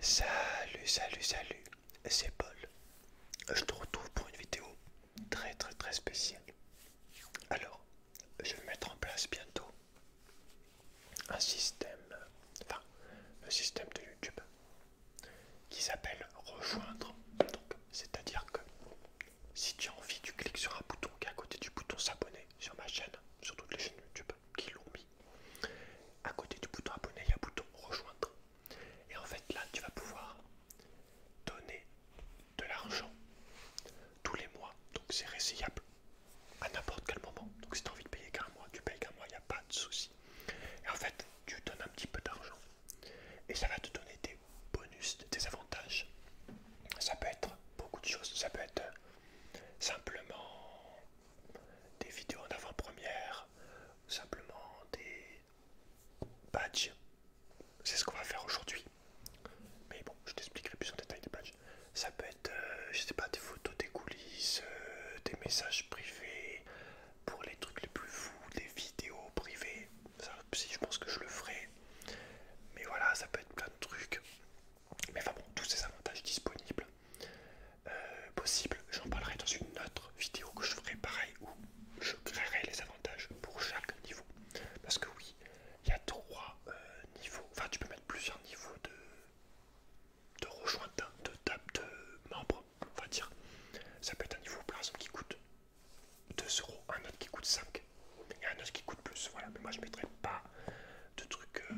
Salut, salut, salut, c'est Paul. Je te retrouve pour une vidéo très très très spéciale. Alors, je vais mettre en place bientôt un système, enfin, le système de YouTube qui s'appelle rejoindre. c'est-à-dire que si tu as envie, tu cliques sur un bouton qui est à côté du bouton s'abonner sur ma chaîne, sur toutes les chaînes YouTube qui l'ont mis. À côté du bouton abonner, il y a un bouton rejoindre. Et en fait, là, tu vas pouvoir donner de l'argent tous les mois. Donc, c'est réciproque. à n'importe quel moment. Donc, si tu as envie de payer qu'un mois, tu payes qu'un mois, il n'y a pas de souci. Et en fait, tu donnes un petit peu d'argent et ça va te donner des bonus, des avantages. Ça peut être beaucoup de choses, ça peut être euh, simplement des vidéos en avant-première, simplement des badges. C'est ce qu'on va faire aujourd'hui. Mais bon, je t'expliquerai plus en détail des badges. Ça peut être, euh, je sais pas, des photos des coulisses, euh, des messages privés, pour les trucs les plus fous, des vidéos privées si je pense que je le ferai. Mais voilà, ça peut être plein de trucs. Mais enfin bon, tous ces avantages disponibles, euh, possibles, j'en parlerai dans une autre vidéo que je ferai pareil où je créerai les avantages pour chaque niveau. Parce que oui, il y a trois euh, niveaux, enfin tu peux mettre plusieurs niveaux de, de rejointe, hein, de table de membres, on va dire. Ça peut être un niveau plein exemple qui coûte 2 euros, un autre qui coûte 5 et un autre qui coûte plus. Voilà, mais moi je mettrai pas de trucs euh,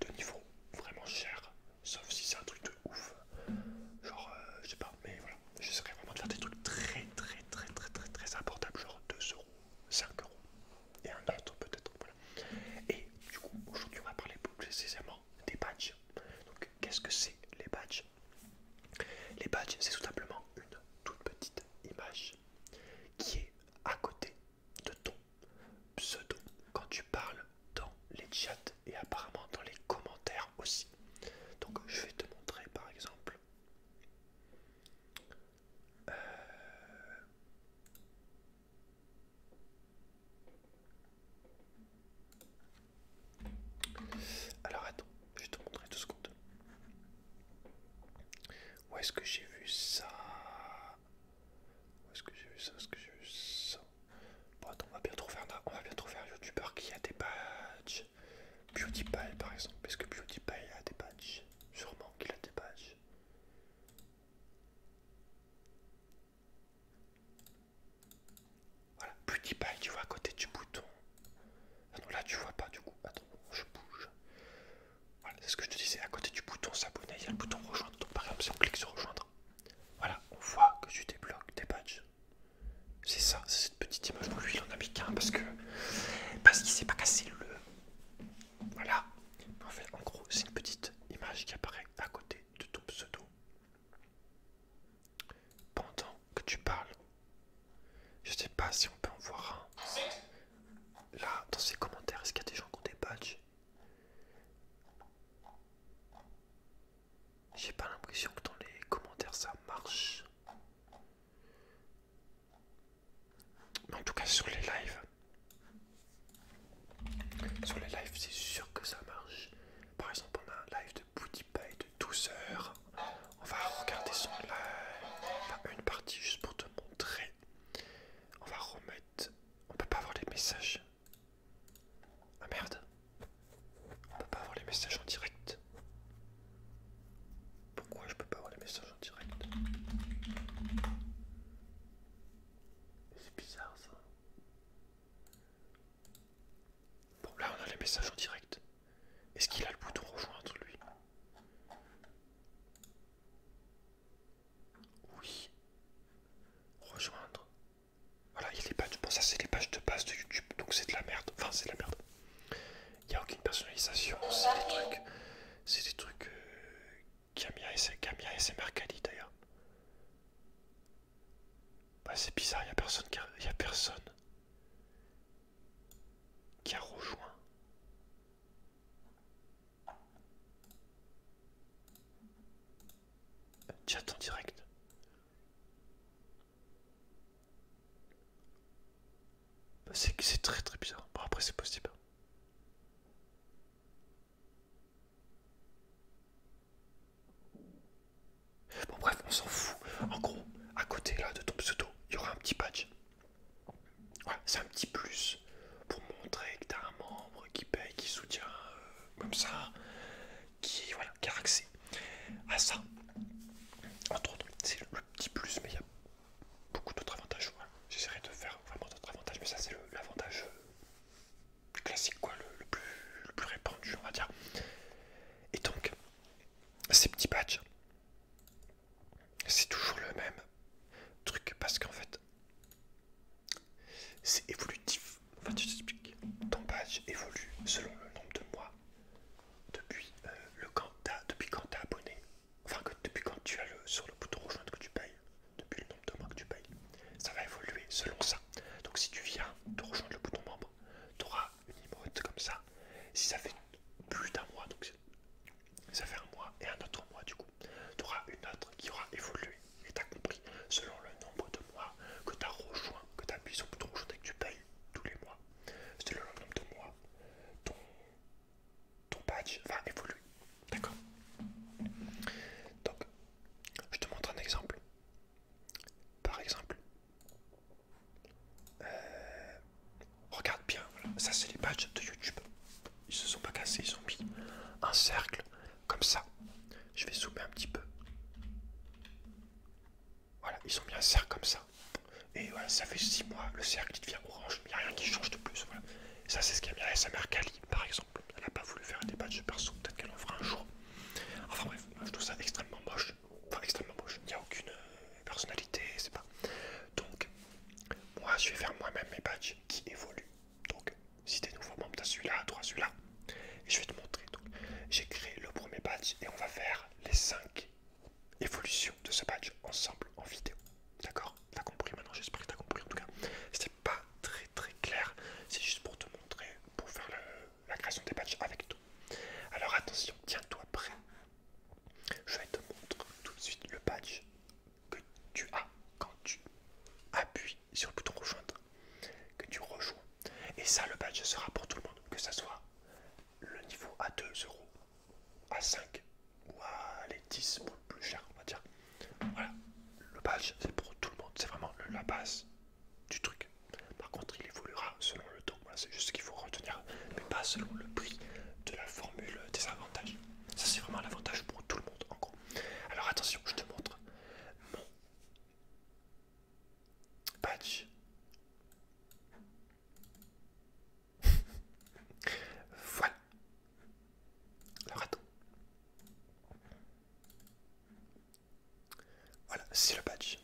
de niveau vraiment cher, sauf si c'est un truc de ouf. Genre, euh, je sais pas, mais voilà, serais vraiment de faire des trucs très, très, très, très, très, très abordables, genre 2 euros, 5 euros et un autre peut-être. Voilà. Et du coup, aujourd'hui, on va parler plus précisément des badges. Donc, qu'est-ce que c'est les badges Les badges, c'est tout simplement une toute petite image qui est à côté de ton pseudo quand tu parles dans les chats et apparemment dans les commentaires aussi. Donc je vais te montrer par exemple. Euh, alors attends, je vais te montrer deux secondes. Où est-ce que j'ai vu ça Où est-ce que j'ai vu ça Où est-ce que j'ai vu ça Bon, attends, on va bien trouver un, va bien un youtubeur qui a des badges. PewDiePie par exemple. Est-ce que PewDiePie a des badges Sûrement qu'il a des badges. Voilà, PewDiePie, tu vois, à côté du bouton. Ah là tu vois pas du coup. Attends, je bouge. Voilà, c'est ce que je te disais. À côté du bouton s'abonner, il y a le bouton rejoindre. Donc par exemple, si on clique sur rejoindre, voilà, on voit que tu débloques des badges. C'est ça, c'est cette petite image. lui, il en a mis qu'un parce que. Parce qu'il s'est pas cassé le. Voilà. En fait, en gros, c'est une petite image qui apparaît à côté de ton pseudo. Pendant que tu parles je sais pas si on peut en voir un. Là, dans ces commentaires, est-ce qu'il y a des gens qui ont des badges J'ai pas l'impression que dans les commentaires ça marche. Mais en tout cas sur les lives. Sur les lives c'est sûr que ça marche. Par exemple on a un live de PewDiePie de 12 heures. On va regarder son, live, une partie juste pour te montrer. On va remettre. On peut pas avoir les messages. Ah merde. On peut pas avoir les messages en direct. Pourquoi je peux pas avoir les messages en direct C'est bizarre ça. Bon là on a les messages en direct. Est-ce qu'il a le bouton rejoindre lui Oui. Rejoindre. Voilà, il est pas. Bon, ça c'est les pages de base de YouTube, donc c'est de la merde. Enfin, c'est de la merde. Il n'y a aucune personnalisation. C'est des trucs. C'est des trucs. Euh, Camia et SMR d'ailleurs. Bah, c'est bizarre, il n'y a personne a personne qui a rejoint. Chat en direct. Bah, c'est très très bizarre. Bon, après, c'est possible. Bon, bref, on s'en fout. En gros, à côté là de ton pseudo, il y aura un petit patch c'est un petit plus pour montrer que tu as un membre qui paye, qui soutient euh, comme ça, qui, a accès à ça. Entre autres, c'est le petit plus, mais il y a beaucoup d'autres avantages. J'essaierai de faire vraiment d'autres avantages, mais ça, c'est l'avantage euh, classique, quoi, le, plus, le plus répandu, on va dire. Et donc, ces petits badges, c'est toujours le même truc parce qu'en fait c'est évolutif. Enfin, tu t'expliques. Ton badge évolue selon le nombre de mois depuis euh, le quand as, depuis quand abonné. Enfin, que, depuis quand tu as le sur le bouton rejoindre que tu payes, depuis le nombre de mois que tu payes, ça va évoluer selon ça. Donc, si tu viens de rejoindre le bouton membre, tu auras une emote comme ça. Si ça fait plus d'un mois, donc ça fait un mois et un autre mois du coup. Tu auras une autre qui aura évolué et t'as as compris selon le nombre de mois que tu as rejoint, que tu appuies sur le bouton que tu payes tous les mois. Selon le nombre de mois, ton, ton badge va évoluer. D'accord Donc, je te montre un exemple. Par exemple, euh, Regarde bien, ça c'est les badges de YouTube. Ils se sont pas cassés, ils ont mis un cercle comme ça. Je vais zoomer un petit peu. Voilà, ils ont mis un cercle comme ça. Et voilà, ça fait 6 mois, le cercle il devient orange, il rien qui change de plus. Voilà. ça c'est ce qu'a mis sa mère Kali, par exemple. Elle a pas voulu faire des badges perso, peut-être qu'elle en fera un jour. Enfin bref, je trouve ça extrêmement moche. Enfin extrêmement moche, il n'y a aucune... Euh, personnalité, c'est pas. Donc, moi je vais faire moi-même mes badges qui évoluent. Donc, si t'es nouveau membre, t'as celui-là, toi celui-là. Et je vais te montrer. Donc, j'ai créé le premier badge et on va faire les 5 évolutions de ce badge ensemble en vidéo. D'accord T'as compris maintenant, j'espère que t'as compris en tout cas. C'était pas très très clair, c'est juste pour te montrer, pour faire la création des badges avec toi Alors attention, tiens-toi prêt je vais te montrer tout de suite le badge que tu as quand tu appuies sur le bouton rejoindre, que tu rejoins. Et ça, le badge sera pour tout le monde, que ce soit le niveau à 2 euros, à 5 ou à les 10 pour le plus cher, on va dire. Voilà, le badge c'est pour tout le monde, c'est vraiment la base du truc. Par contre, il évoluera selon le temps, c'est juste ce qu'il faut retenir, mais pas selon le prix de la formule des avantages. Ça c'est vraiment l'avantage pour tout le monde en gros. Alors attention, je te montre mon patch. voilà. Le Voilà, c'est le badge.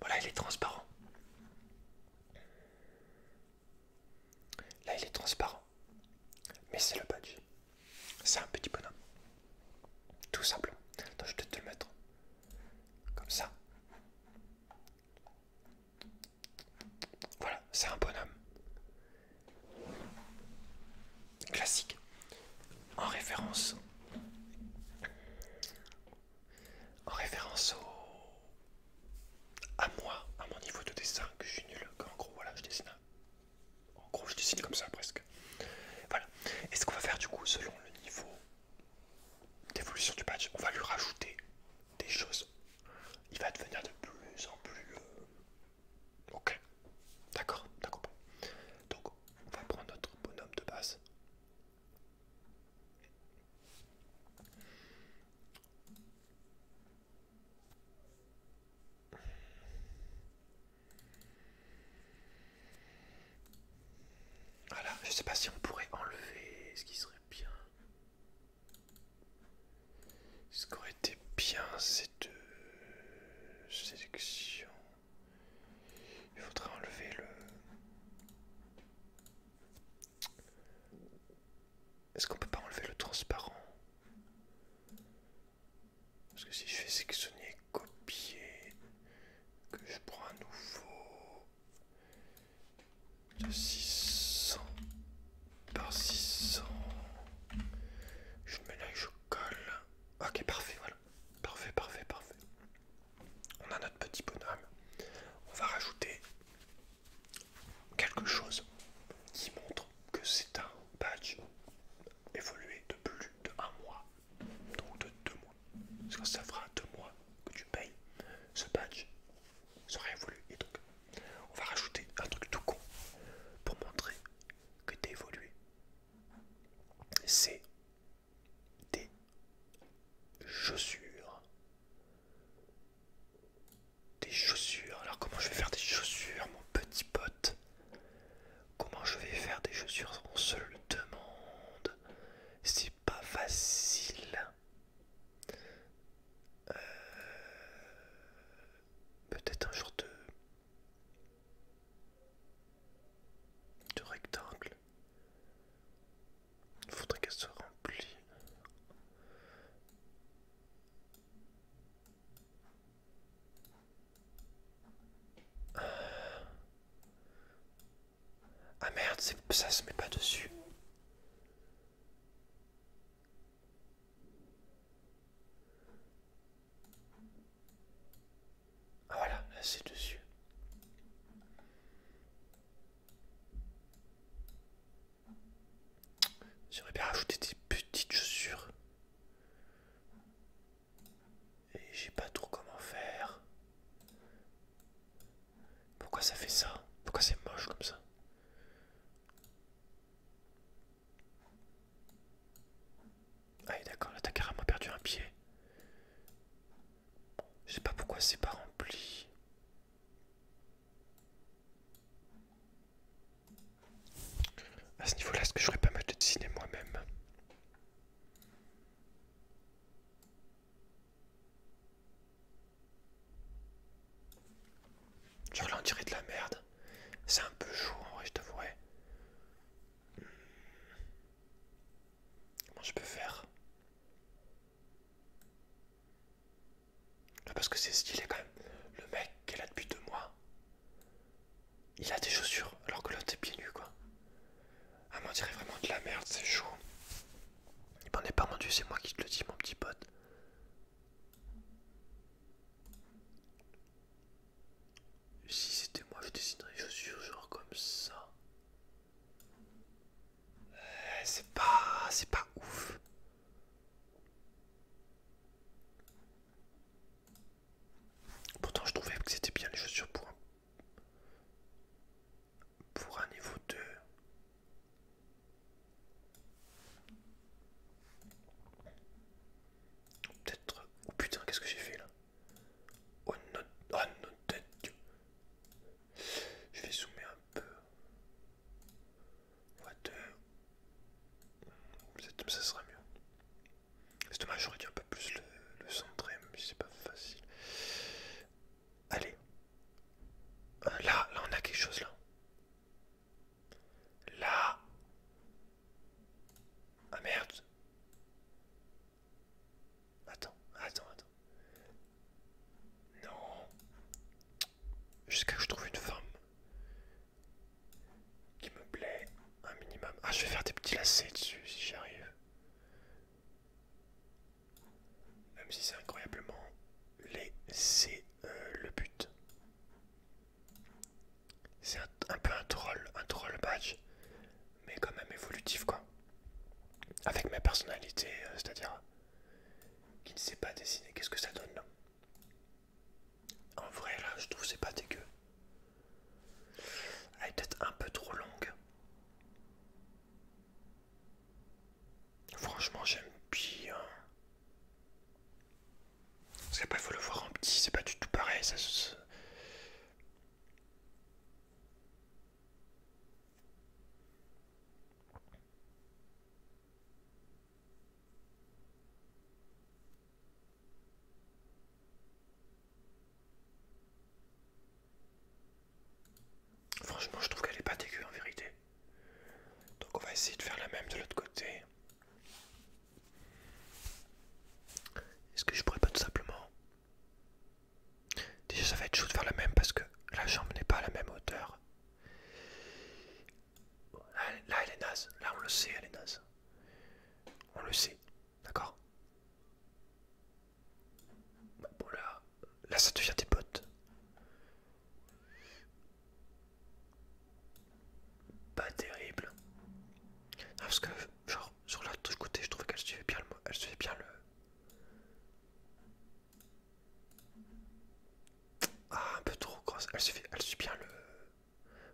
Voilà, il est transparent. Là, il est transparent. Mais c'est le badge. C'est un petit bonhomme. Tout simple. je vais te le mettre. Comme ça. Voilà, c'est un bonhomme. Classique. En référence en référence au... à moi, à mon niveau de dessin, que je suis nul, En gros, voilà, je dessine. En gros, je dessine comme ça presque. Voilà. Et ce qu'on va faire du coup, selon le niveau d'évolution du patch, on va lui rajouter des choses. Il va devenir de plus en plus... Euh, ok. D'accord, d'accord. Donc, on va prendre notre bonhomme de base. Voilà, je sais pas si on pourrait enlever ce qui serait bien. Ce qui aurait été bien, cette deux sélection. Il faudrait enlever le est-ce qu'on peut pas enlever le transparent Parce que si je fais sectionner, copier, que je prends un nouveau de 600 par 600, je mets là et je colle. Ok, parfait, voilà. Parfait, parfait, parfait. On a notre petit bonhomme. On va rajouter quelque chose qui montre que c'est un badge évolué de plus de un mois, donc de deux mois. Parce que ça fera deux mois que tu payes, ce badge sera évolué. Et donc, on va rajouter un truc tout con pour montrer que t'es évolué. C'est des chaussures des chaussures. Alors comment je vais faire des chaussures, mon petit pote Comment je vais faire des chaussures On se le demande. C'est pas facile. Euh, peut-être un jour de... De rectangle. Il faudrait qu'elle soit remplie. Ah, merde, ça se met pas dessus. Ah voilà, c'est dessus. J'aurais bien rajouter des petites chaussures. Et j'ai pas trop comment faire. Pourquoi ça fait ça Pourquoi c'est moche comme ça Ah d'accord, là t'as carrément perdu un pied. Je sais pas pourquoi c'est pas rempli. À ce niveau-là, est-ce que j'aurais pas mal de dessiner moi-même Genre là, on dirait de la merde. C'est un peu chaud en vrai, je hmm. Comment je peux faire parce que c'est stylé quand même. Le mec qu'elle a depuis deux mois, il a des chaussures alors que l'autre est bien nu quoi. Ah m'en dirait vraiment de la merde, c'est chaud. Il m'en est pas rendu, c'est moi qui te le dis mon petit pote. Si c'était moi, je dessinerais les chaussures genre comme ça. C'est pas... c'est pas ouf. Pourtant je trouvais que c'était bien les chaussures pour un... Pour un niveau 2. Peut-être... Oh putain, qu'est-ce que j'ai fait là Oh non, oh non, tête. Je vais zoomer un peu. Water. ça sera mieux. C'est dommage, j'aurais dû un peu plus le, le centrer, mais c'est pas facile. Allez. Euh, là, là on a quelque chose là. Là. Ah merde. Attends, attends, attends. Non. Jusqu'à que je trouve une femme qui me plaît un minimum. Ah, je vais faire des petits lacets dessus si j'y arrive. Même si c'est incroyablement laid, c'est euh, le but. C'est un, peu un troll, un troll badge, mais quand même évolutif quoi. Avec ma personnalité, euh, c'est-à-dire qui ne sait pas dessiner. Qu'est-ce que ça donne En vrai, là, je trouve c'est pas dégueu. Elle est peut-être un peu trop longue. Franchement, j'aime bien. C'est pas il faut le voir en petit, c'est pas du tout pareil. Ça, Franchement, je trouve qu'elle est pas dégueu en vérité. Donc on va essayer de faire la même de l'autre côté. Est-ce que je pourrais pas tout simplement... Déjà ça va être chaud de faire la même parce que la jambe n'est pas à la même hauteur. Là, elle est naze. Là, on le sait, elle est naze. On le sait. D'accord bah, là, ça devient des potes. Pas terrible. parce que, genre, sur l'autre côté, je trouvais qu'elle suivait bien le. Elle suivait bien le. Ah, un peu trop grosse. Elle suffit elle suit bien le.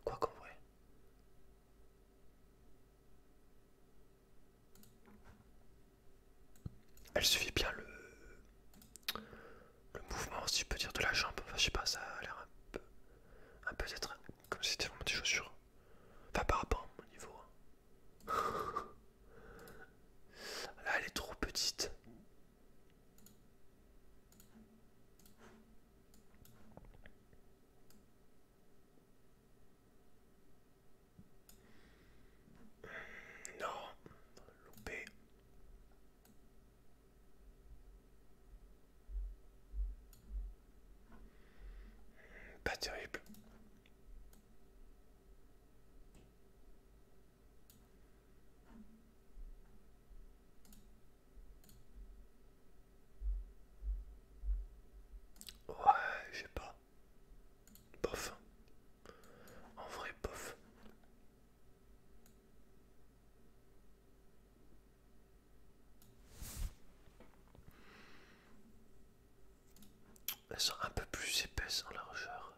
Quoi qu'en vrai. Elle suffit bien le. Le mouvement, si je peux dire, de la jambe. Enfin, je sais pas, ça a l'air un peu. Un peu être comme si c'était vraiment des chaussures. Enfin, par rapport à mon niveau. Hein. Là, elle est trop petite. Non, loupé. Pas terrible. Ouais, je sais pas. pof, En vrai, pof, Elles sont un peu plus épaisses en largeur.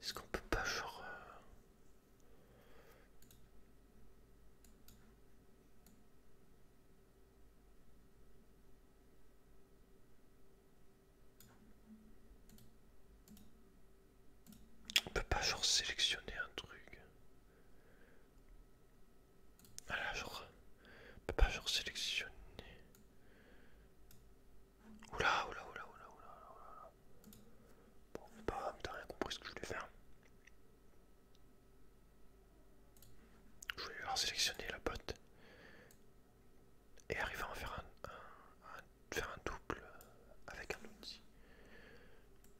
Est-ce qu'on peut pas genre... Euh, on peut pas genre sélectionner un truc. Voilà, genre. On peut pas genre sélectionner. Oula, oula, oula, oula, oula, Bon, peut pas t'as rien compris ce que je voulais faire. Je voulais sélectionner la botte et arriver à en faire un, faire un double avec un outil.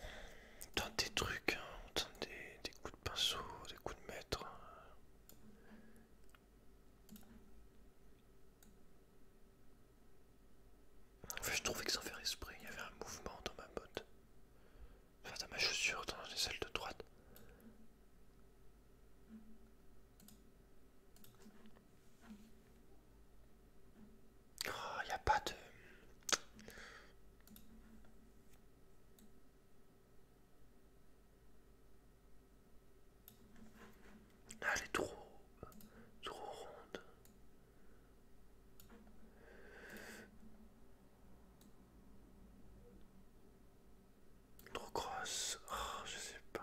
Hein, tente des trucs, on des, coups de pinceau, des coups de maître. fait je trouvais que sans faire esprit, il y avait un mouvement dans ma botte. Enfin, dans ma chaussure, dans les ailes de droite. Il oh, n'y a pas de... Ah, elle est trop, trop ronde. Trop grosse. Oh, je sais pas.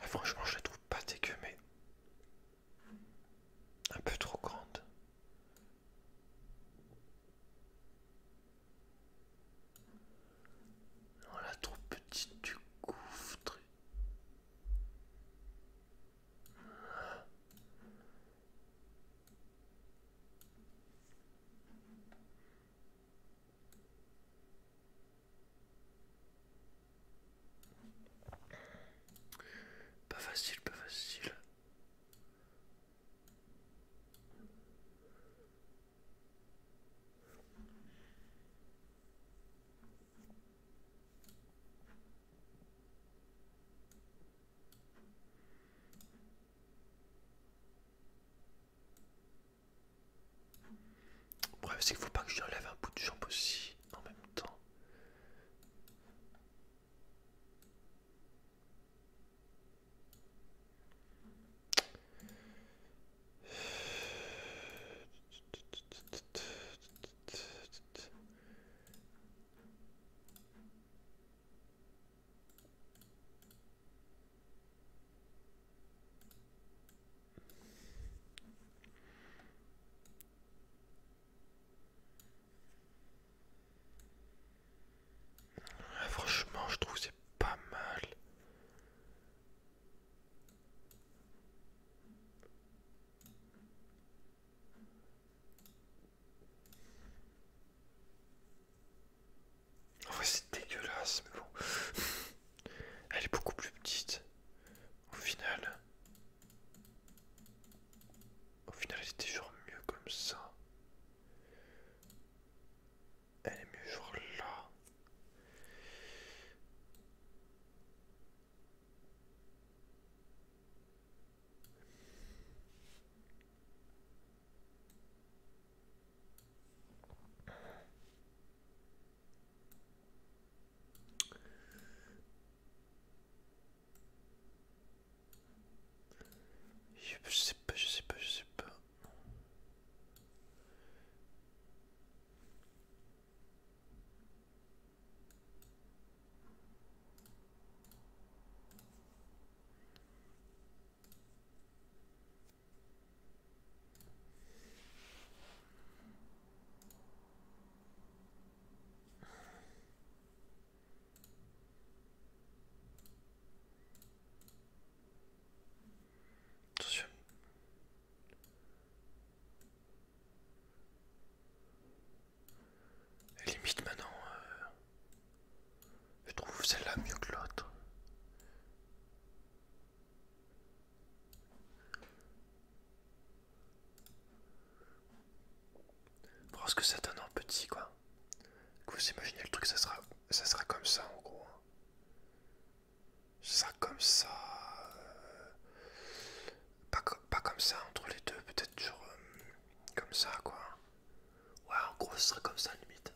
Ah, franchement, je trouve pas dégueu, mais un peu trop grande. On la trouve petite du gouffre. Pas facile, pas facile. Bref, c'est qu'il faut pas que je enlève un bout de jambe aussi en même temps franchement, je trouve c'est pas mal. En vrai, c'est dégueulasse, mais bon. Elle est beaucoup plus petite. Au final, au final, elle était genre mieux comme ça. Elle est mieux genre là. Je sais pas, je sais pas, je sais pas. Attention. elle limite maintenant, euh, je trouve celle-là mieux que l'autre. Je pense que c'est un an petit quoi. vous imaginez le truc, ça sera, ça sera comme ça en gros. Hein. Ça sera comme ça. Euh, pas, pas comme ça entre les deux, peut-être genre euh, comme ça quoi. Ouais en gros ce sera comme ça limite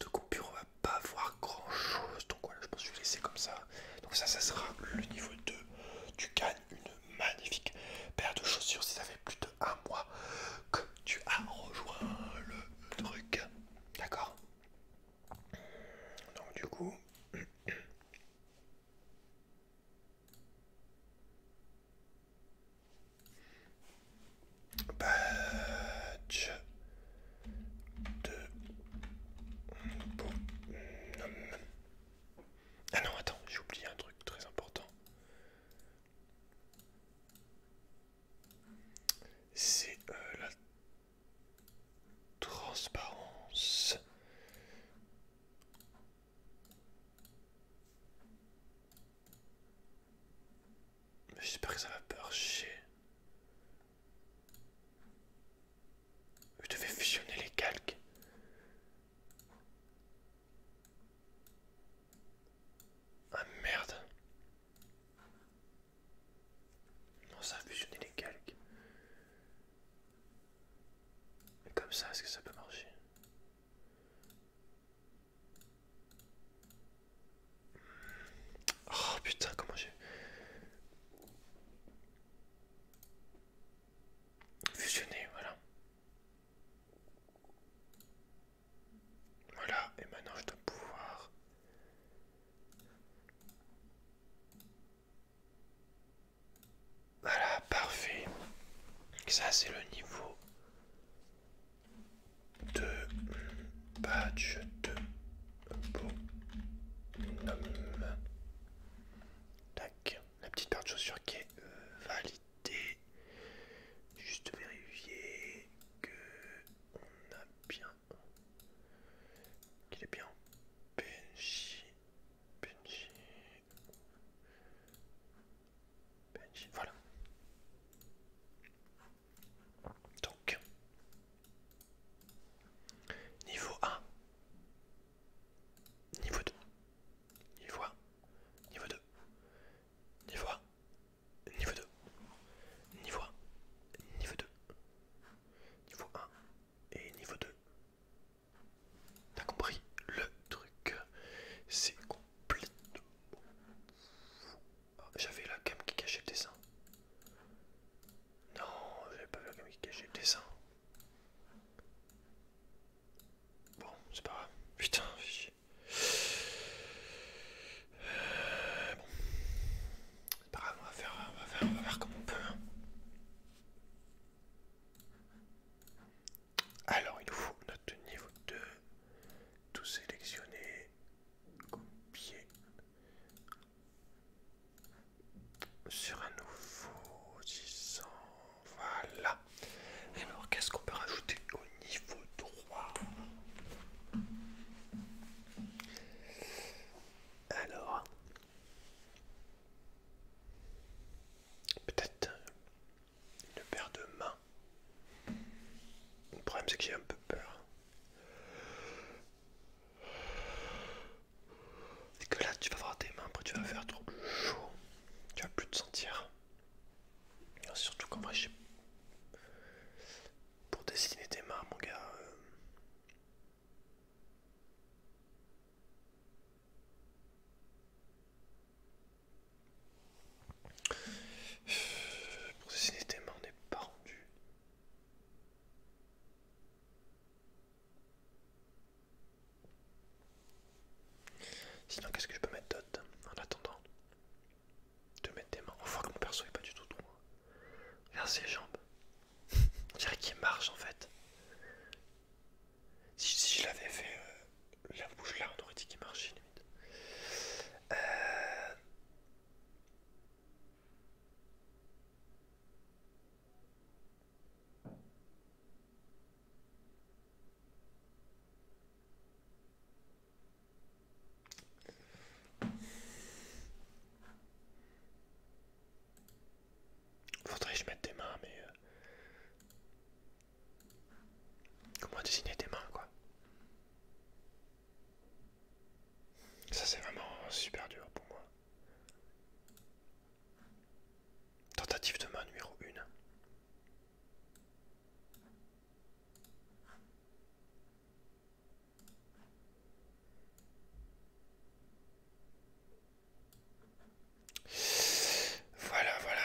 de coupure on va pas voir grand chose donc voilà je pense je vais laisser comme ça donc ça ça sera le niveau 2 tu gagnes une magnifique paire de chaussures si ça fait plus de un mois que tu as rejoint le truc d'accord donc du coup Badge Ah non, attends, j'ai oublié un truc très important. C'est euh, la transparence. J'espère que ça va pas Je devais fusionner les calques. Ah merde. Non, ça a fusionné les calques. Mais comme ça, est-ce que ça peut marcher Oh putain, comment j'ai. fusionné voilà. Voilà, et maintenant je dois pouvoir. Voilà, parfait. Ça, c'est le niveau deux badge de bonhomme. Tac, la petite paire de chaussures qui est euh, validée. Juste vérifier qu'on a bien qu'il est bien Benji. Benji. Benji. Voilà. Donc, niveau 1, niveau 2, niveau 1, niveau 2, niveau 1, niveau 2, niveau 1, niveau 2, niveau 1 et niveau 2. T'as compris le truc, c'est complètement j'avais la cam qui cachait le dessin. Non, j'avais pas vu la cam qui cachait le dessin. Bon, c'est pas grave. Putain, fichier. Euh, bon. C'est pas grave, faire, on va faire comme on peut. Hein. Alors, il nous faut notre niveau 2. Tout sélectionner copier sur un nouveau disant, Voilà. Alors, qu'est-ce qu'on peut rajouter au niveau droit, Alors, peut-être une paire de mains. Le problème c'est que j'ai un peu peur. Et que là tu vas voir tes mains, après tu vas faire trop chaud. Tu vas plus te sentir. Surtout qu'en vrai j'ai... Pour dessiner tes mains mon gars... Euh, pour dessiner tes mains, n'est pas rendu. Sinon, qu'est-ce que je peux mettre d'autre en attendant de mettre des mains On voit que mon perso n'est pas du tout droit. Regarde ses jambes. On dirait qu'il marche en fait. Si, je l'avais fait euh, la bouche là, on aurait dit qu'il marchait limite. Euh, Faudrait je mettre des mains, mais... Euh, comment dessiner des mains, quoi ça c'est vraiment super dur pour moi. Tentative de main numéro 1. Voilà, voilà.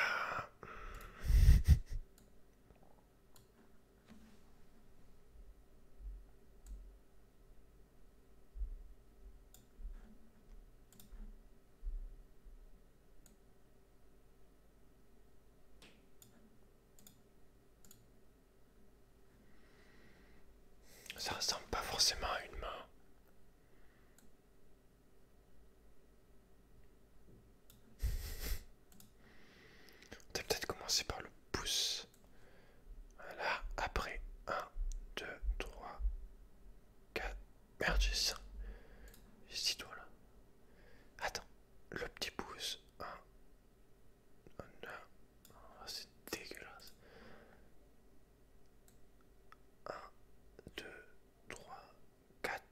Ça ressemble pas forcément à une main. On peut-être commencer par le pouce. Voilà, après 1, 2, 3, 4. Merde, j'ai 5. doigts là. Attends, le petit pouce. 1, 2, c'est dégueulasse. 1, 2, 3, 4.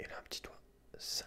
Et là, un petit doigt. 5.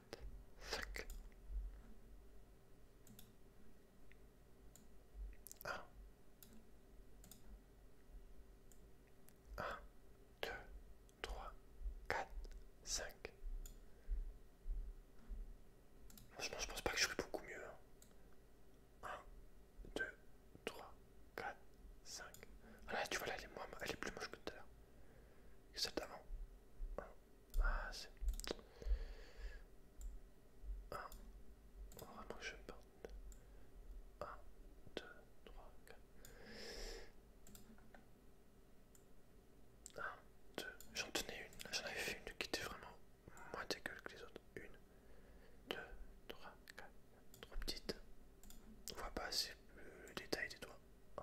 1, 2, 3, 4, 5. Franchement, je pense pas que je fais beaucoup mieux. 1, 2, 3, 4, 5. Ah tu vois, là, elle est, elle est plus moche que tout à l'heure. Ah, c'est... 1, on va que un peu. 1, 2, 3, 4. 1, 2, j'en tenais une. J'en avais fait une qui était vraiment moins dégueule que les autres. 1, 2, 3, 4. Trop petite. On ne voit pas assez le détail des doigts. 1,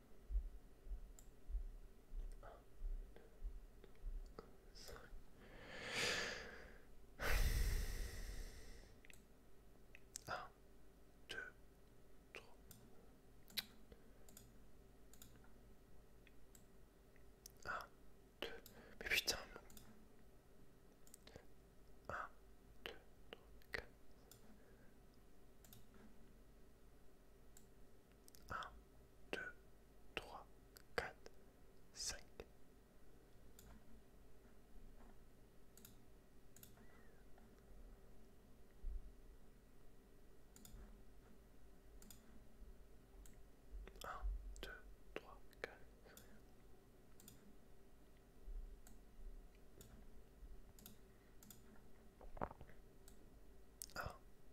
1, 2, 3. Un, deux. Mais putain. 1, 2, 1, 2, 3, 4, 5. 1, 2, 3, 4, 1.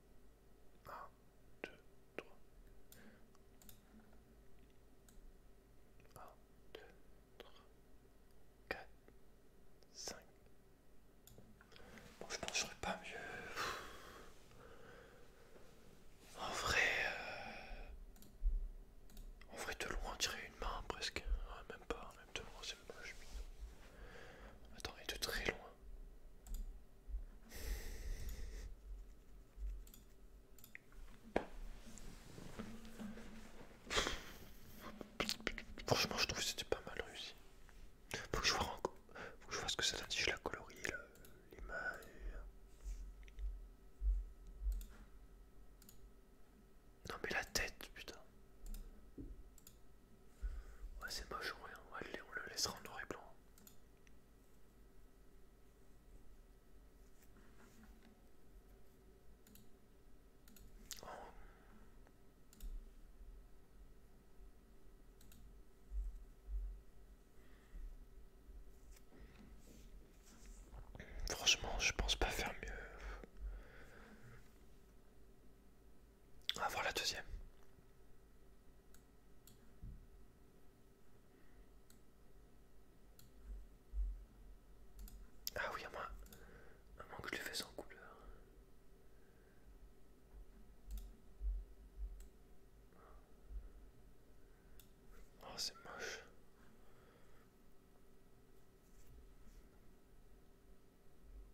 1, 2, 3. 1, 2, 3, 4, 5. Bon, je pense que pas mieux. En vrai, en vrai de loin, on dirait une main presque. même pas, même de loin, c'est même pas. Je... Attends, et de très loin. Franchement, je trouve que c'était pas mal réussi. Faut que je vois, Faut que je vois ce que ça t'a dit, je la colorie, l'image. Non mais la tête, putain c'est moche, rien. Hein. on le laissera en noir et blanc. Oh. Franchement, je pense pas faire mieux. Avoir voir la deuxième. Ah oui, à moi, un que je le fait sans couleur. Oh, c'est moche.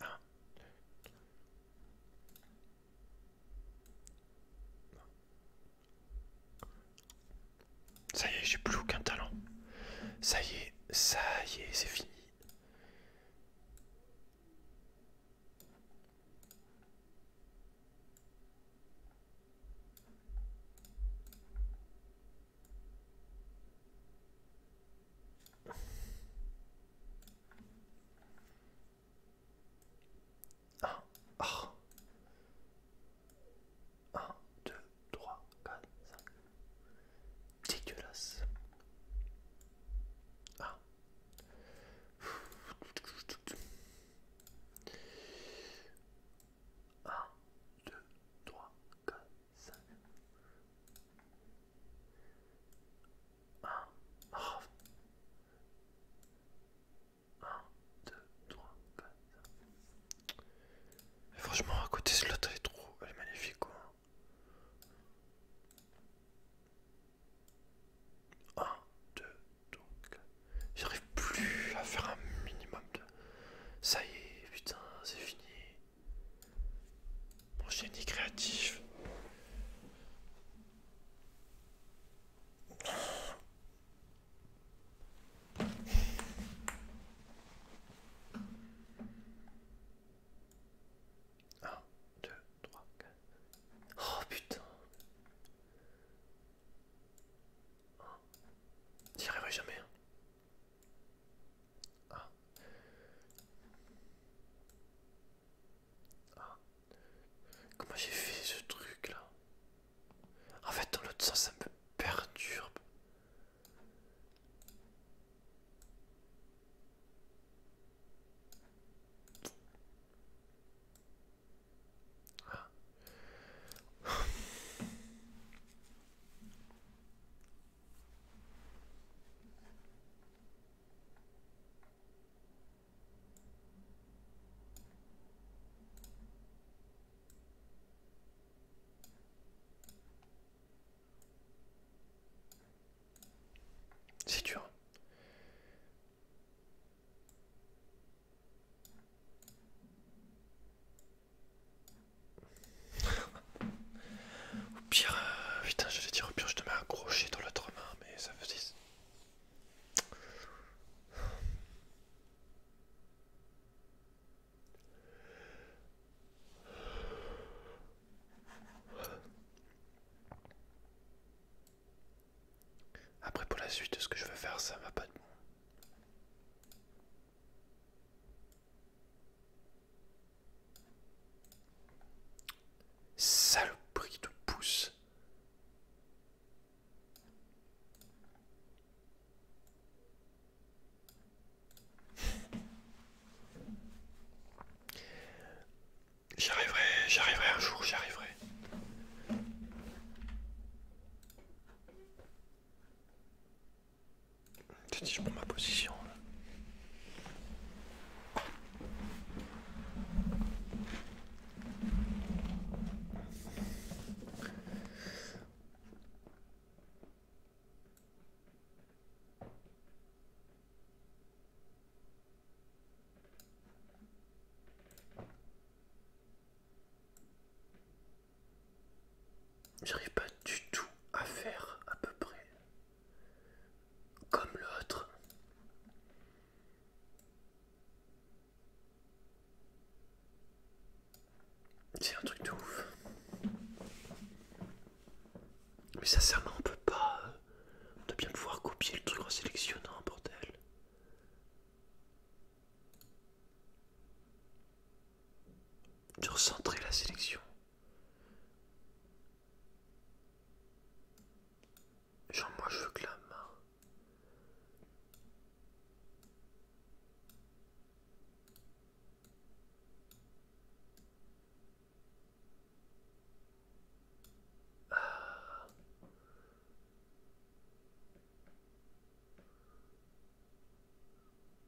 Ah. Ça y est, j'ai plus aucun talent. Ça y est, ça y est, c'est fini. 1, 1, 2, 3, 4, 5. Dégueulasse. Un, deux, trois, quatre, 5 1 1, 2, 3, 4 Franchement, à côté, c'est là elle est trop... Elle est magnifique, quoi. 1, 2, 3, 4 J'arrive plus à faire un minimum de... Ça y est, putain, c'est fini. Prochain Nick créatif. 1, 2, 3, 4. Oh putain. Tu n'y arriveras jamais. Hein. Ah. Ah. Comment j'ai fait ce truc là En fait dans l'autre sens ça me perturbe. Ah. C'est dur. Au pire, euh, putain, je vais dire au pire, je te mets un dans l'autre main, mais ça faisait. Après, pour la suite, ce que je veux faire, ça va pas de bon prix de pouce. J'arriverai, j'arriverai un jour, j'arriverai je prends ma position. J'arrive pas du tout à faire à peu près comme l'autre. C'est un truc de ouf. Mais sincèrement, on peut pas. On euh, doit bien pouvoir copier le truc en sélectionnant, bordel. De recentrer la sélection. Genre moi je veux que la main. Ah.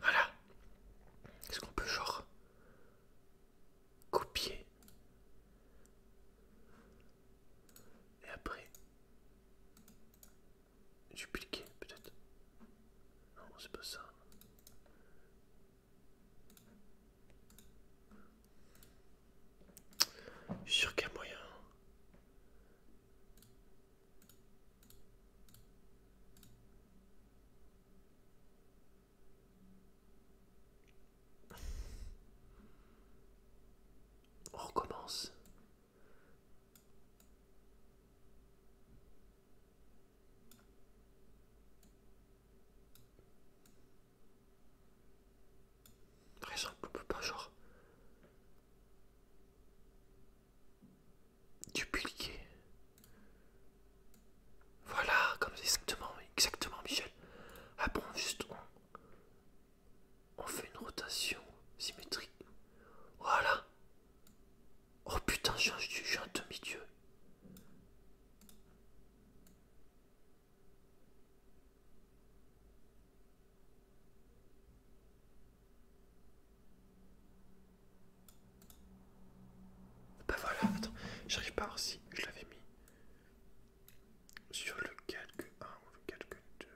Voilà. Est-ce qu'on peut genre copier et après dupliquer peut-être Non, c'est pas ça. Je suis qu'il y a moyen. On recommence. Très simple, on peut pas genre dupliquer. Voilà, comme exactement, exactement Michel. Ah bon, juste on, on fait une rotation symétrique. Voilà. Oh putain, je suis un demi-dieu. Bah voilà, attends, j'arrive pas si je l'avais mis sur le calque 1 ou le calque 2.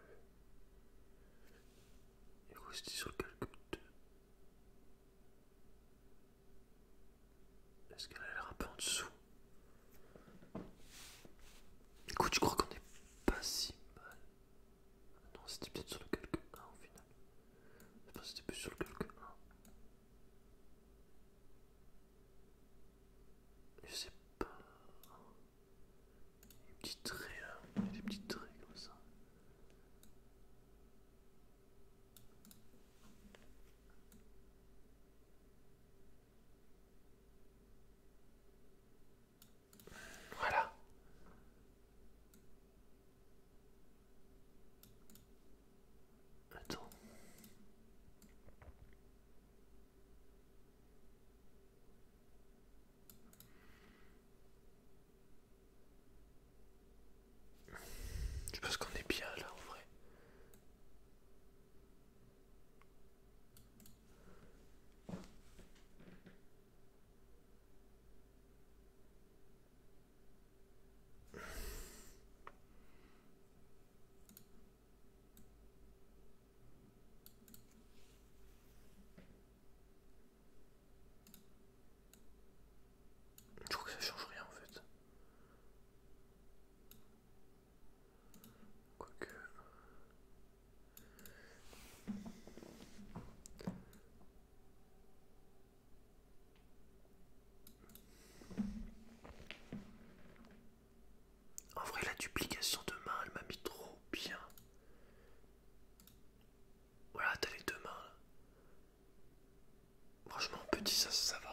Et c'est sur le calque 2. Est-ce qu'elle a l'air un peu en dessous Écoute, je crois qu'on est pas si mal. Non, c'était peut-être sur le calque 1 au final. Je pense que c'était plus sur le calque 1. Je sais pas. Des petits traits là, des petits traits comme ça. Voilà. Attends. Je pense qu'on est bien là en vrai. Je crois que ça change rien en fait. En vrai, la duplication de main, elle m'a mis trop bien. Voilà, t'as les deux mains. Franchement, petit, ça, ça va. Hein.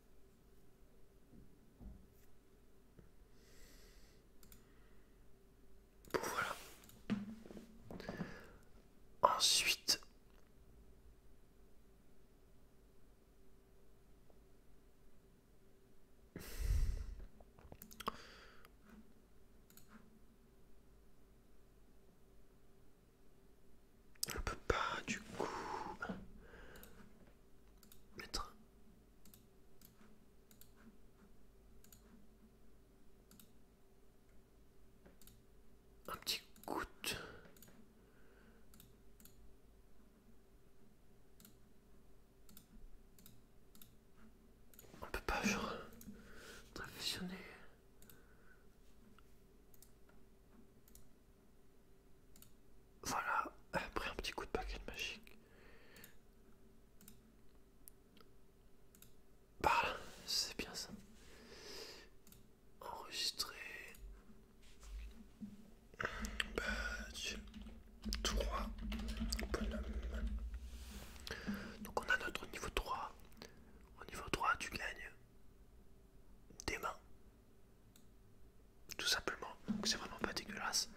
voilà. Ensuite, on peut pas du coup mettre. Un petit goutte. On peut pas genre réfléchir. Voilà, après un petit coup de baguette magique. Voilà, bah, c'est bien ça. Enregistrer. Badge. 3. Donc on a notre niveau 3. Au niveau 3, tu gagnes des mains. Tout simplement, donc c'est vraiment pas dégueulasse.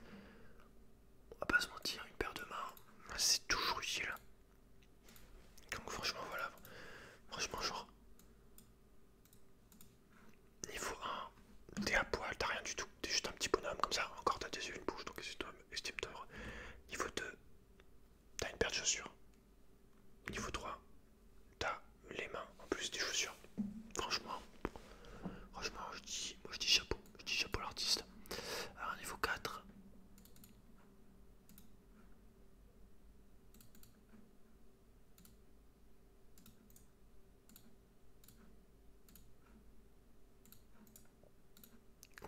On va pas se mentir, une paire de mains, c'est toujours utile. Donc franchement voilà, franchement genre niveau 1, t'es à poil, t'as rien du tout, t'es juste un petit bonhomme comme ça, encore t'as des yeux, une bouche, donc estime-toi. Niveau 2, t'as une paire de chaussures. Niveau 3, t'as les mains en plus des chaussures. Franchement, franchement, je dis, moi je dis chapeau, je dis chapeau l'artiste. Alors niveau 4.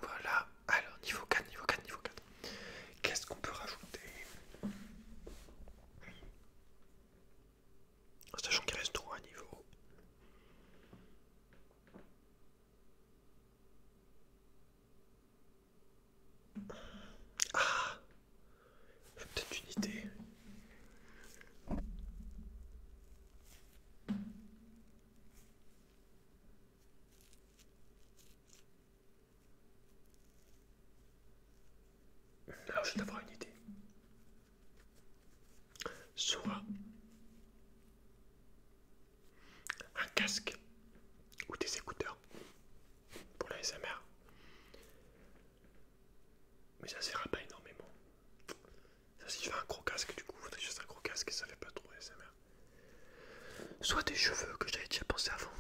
Voilà, alors niveau 4, niveau 4, niveau 4. Qu'est-ce qu'on peut rajouter Sachant qu'il reste trop à niveau. Ah J'ai peut-être une idée. Alors ah je vais t'avoir une idée. Soit un casque ou des écouteurs pour la SMR. Mais ça ne pas énormément. si je fais un gros casque, du coup, il faudrait un gros casque et ça fait pas trop SMR. Soit des cheveux que j'avais déjà pensé avant.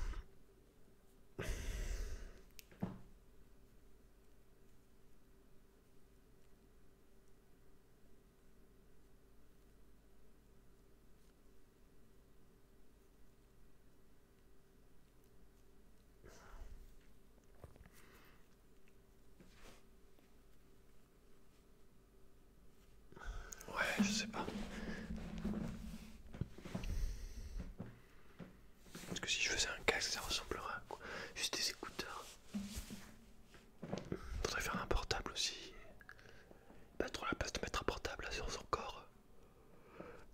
Ouais, je sais pas. Parce que si je faisais un casque, ça ressemblerait à quoi Juste des écouteurs. Hmm, faudrait faire un portable aussi. Pas trop la place de mettre un portable sur son corps.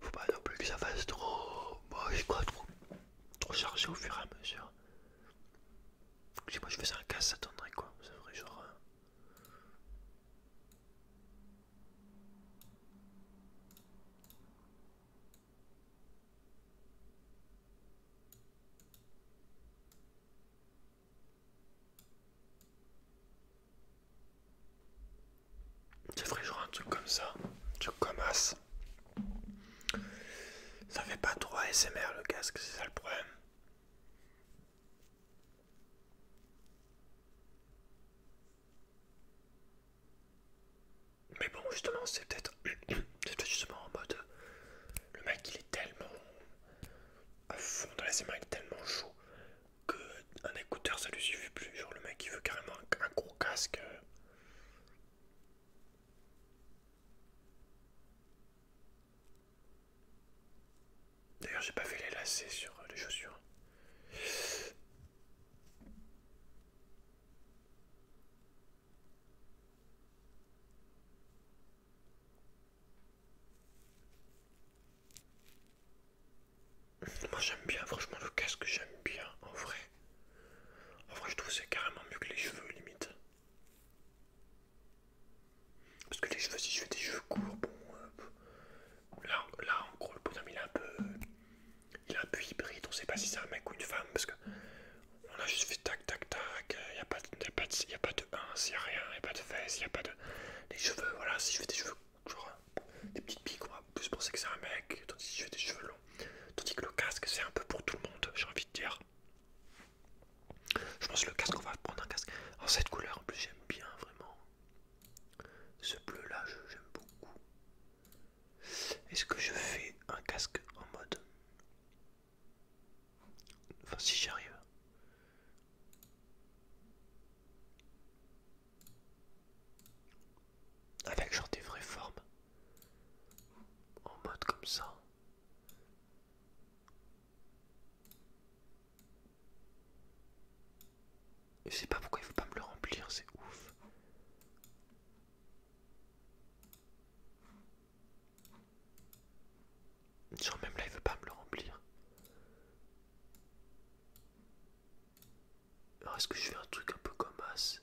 Faut pas non plus que ça fasse trop. Moi j'ai quoi, trop, chargé au fur et à mesure. Si moi je faisais un casque, ça donnerait quoi Ça ferait genre. Euh, je ferais genre un truc comme ça, un truc comme as. Ça fait pas trop smr le casque, c'est ça le problème. Mais bon, justement, c'est peut-être justement en mode le mec il est tellement à fond dans la il est tellement chaud que un écouteur ça lui suffit plus. Genre, le mec il veut carrément un, un gros casque. D'ailleurs, j'ai pas fait les lacets sur les chaussures. Moi j'aime bien, franchement le casque j'aime bien en vrai. En vrai je trouve c'est carrément mieux que les cheveux limite. Parce que les cheveux, si je fais des cheveux courts, bon, euh, là, là en gros le bonhomme il est un peu il a un peu hybride, on sait pas si c'est un mec ou une femme parce que on a juste fait tac tac tac, il euh, y a, pas de 1, il n'y a pas de fesses, il a pas de. Les cheveux, voilà, si je fais des cheveux, genre des petites piques, on va plus penser que c'est un mec, tandis que si je fais des cheveux longs. Tandis que le casque, c'est un peu pour tout le monde, j'ai envie de dire. Je pense que le casque, on va prendre un casque en cette couleur, en plus j'aime bien vraiment. Ce bleu là, j'aime beaucoup. Est-ce que je fais un casque en mode Enfin si j'arrive, Avec genre des vraies formes. En mode comme ça. Je sais pas pourquoi il veut pas me le remplir, c'est ouf. Genre même là il veut pas me le remplir. Alors est-ce que je fais un truc un peu comme As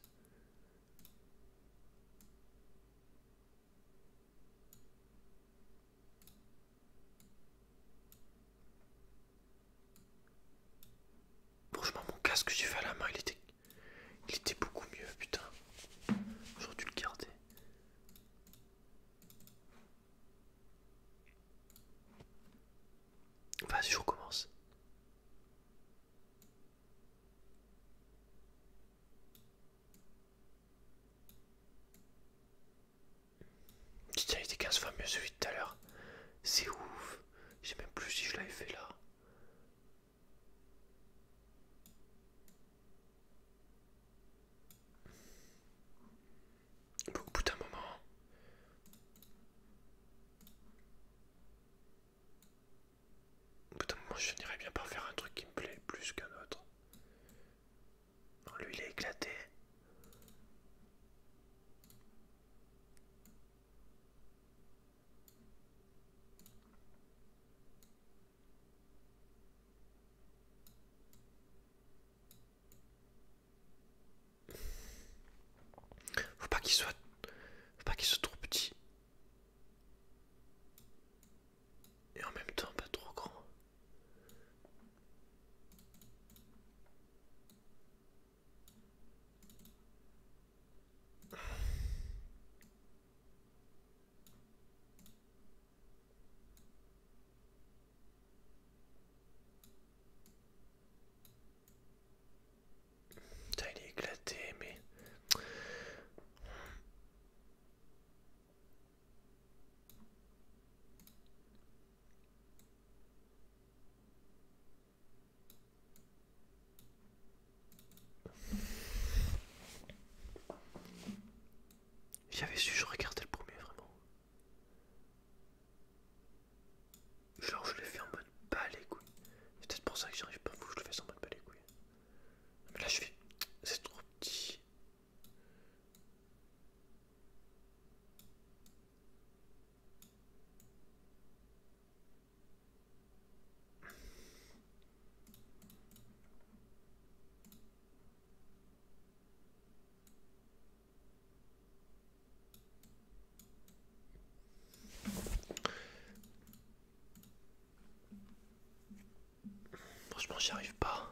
Franchement, mon casque que j'ai fait à la main, il était, il était beaucoup mieux, putain. J'aurais dû le garder. Vas-y, je recommence. Putain, il était 15 fois mieux celui de tout à l'heure. C'est ouf. Je sais même plus si je l'avais fait là au bout d'un moment. Au bout d'un moment, je dirais bien par faire un truc qui me plaît plus qu'un autre. lui, il est éclaté. Faut pas qu'il soit... Faut pas qu'il soit trop petit. Et en même temps pas trop grand. Putain, éclaté, mais... J'avais su, je regardais le premier vraiment. Genre, je l'ai fait en mode pas C'est peut-être pour ça que j'arrive pas à vous, je le fais en mode pas les Mais là, je fais. C'est trop petit. Franchement, j'y arrive pas.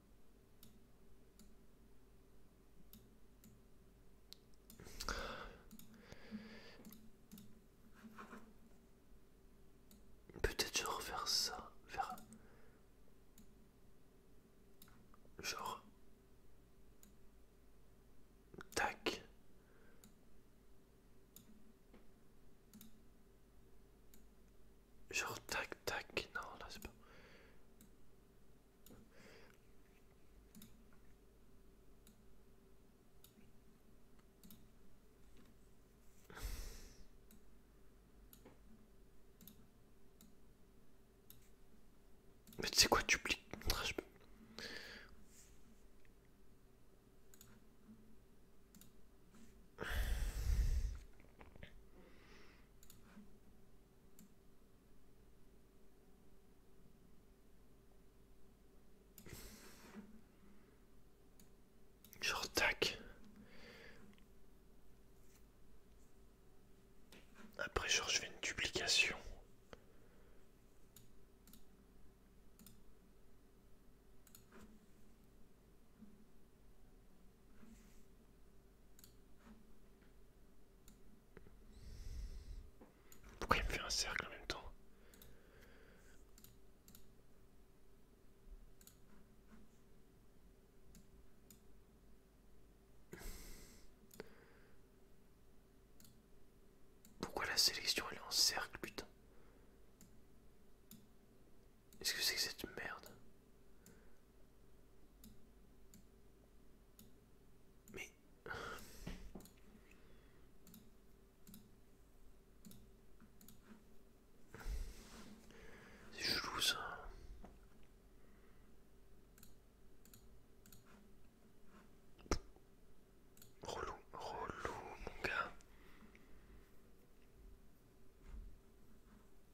Peut-être genre vers ça, verra genre tac. Genre tac tac, non là c'est pas. Mais tu sais quoi, tu plies. Genre tac. Après George je fais une duplication. Pourquoi il me fait un cercle en même temps Pourquoi la sélection elle est en cercle putain Est-ce que c'est que cette merde mais... C'est chelou ça. Relou, relou mon gars.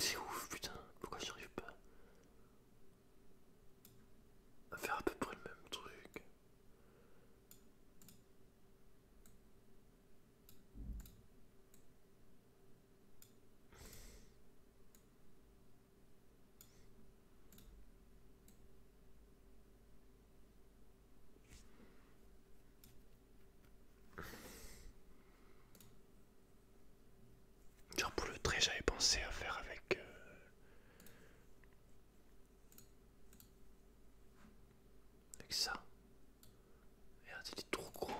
C'est ouf putain, pourquoi j'arrive pas faire à peu près le même truc. Genre pour le trait, j'avais pensé à faire avec... Euh... Avec ça. Merde, il est trop gros.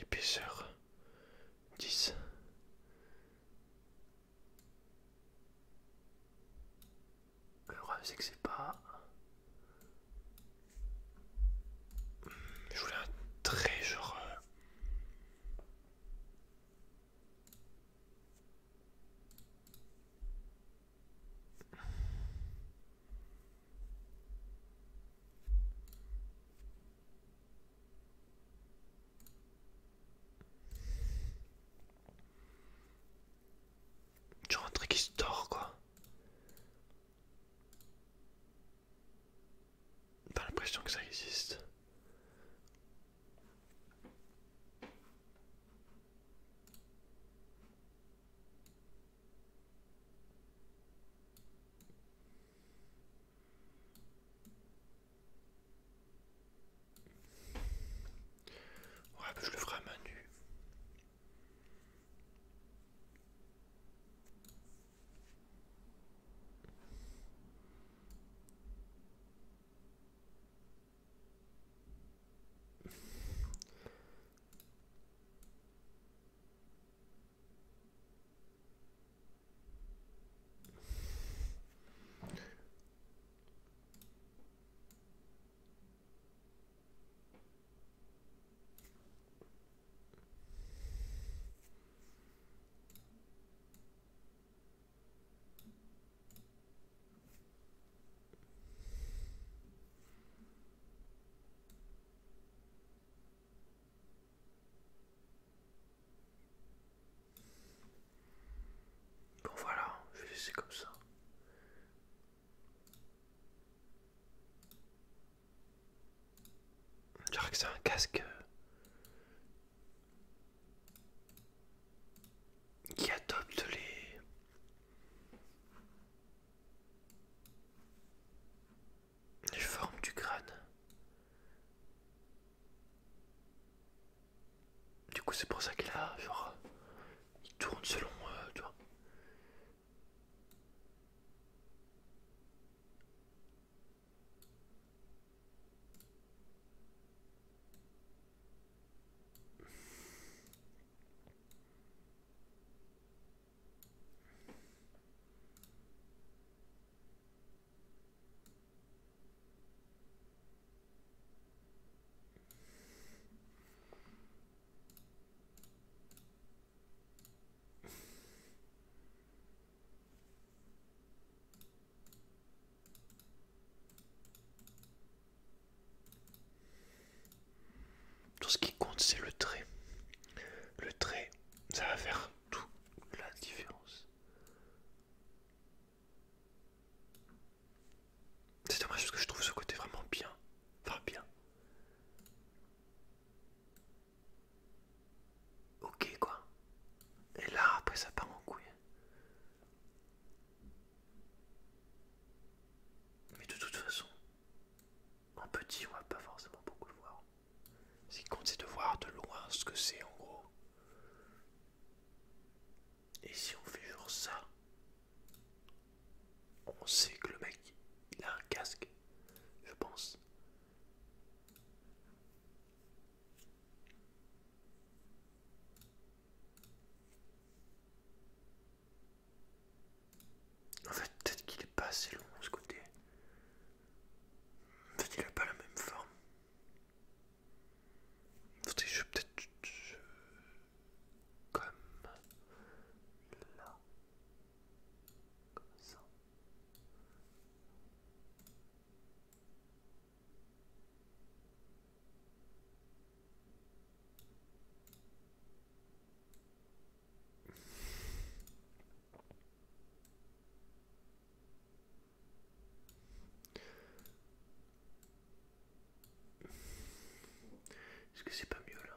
Épaisseur 10. Le c'est que c'est pas... Je voulais un très genre... Euh, Genre un truc qui se dort quoi. J'ai l'impression que ça existe. Ouais, bah, je le ferai à main nue. Bon voilà, je vais comme ça c'est un casque euh, qui adopte les... les formes du crâne. Du coup, c'est pour ça qu'il a, genre, il tourne selon, moi, euh, tu tout ce qui compte, c'est le trait. Le trait, ça va faire toute la différence. C'est dommage parce que je trouve ce côté vraiment bien. Enfin bien. Ok quoi. Et là après ça part en couille. Mais de toute façon, en petit on va pas forcément beaucoup le voir. Ce qui compte c'est de voir de loin ce que c'est en gros. Et si on fait genre ça, on sait que le mec il a un casque, je pense. En fait, peut-être qu'il est pas assez long ce côté. En fait, il a pas la même forme. En fait, je peut-être comme là, comme ça. Est-ce que c'est pas mieux là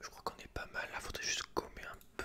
Je crois qu'on est pas mal, là faudrait juste gommer un peu.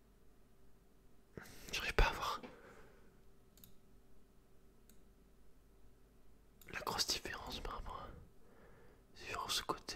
J'arrive pas à voir la grosse différence par rapport à sur ce côté.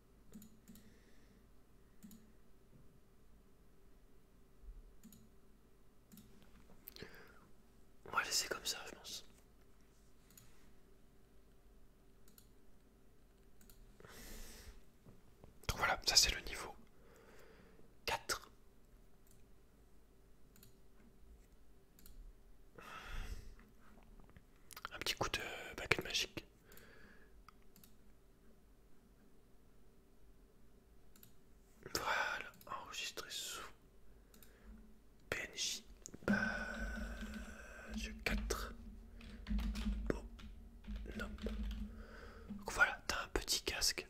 Voilà, c'est comme ça, je pense. Donc voilà, ça c'est le niveau 4. Un petit coup de baguette magique. Voilà, enregistré sous PNJ page 4. Bonhomme. Donc voilà, t'as un petit casque.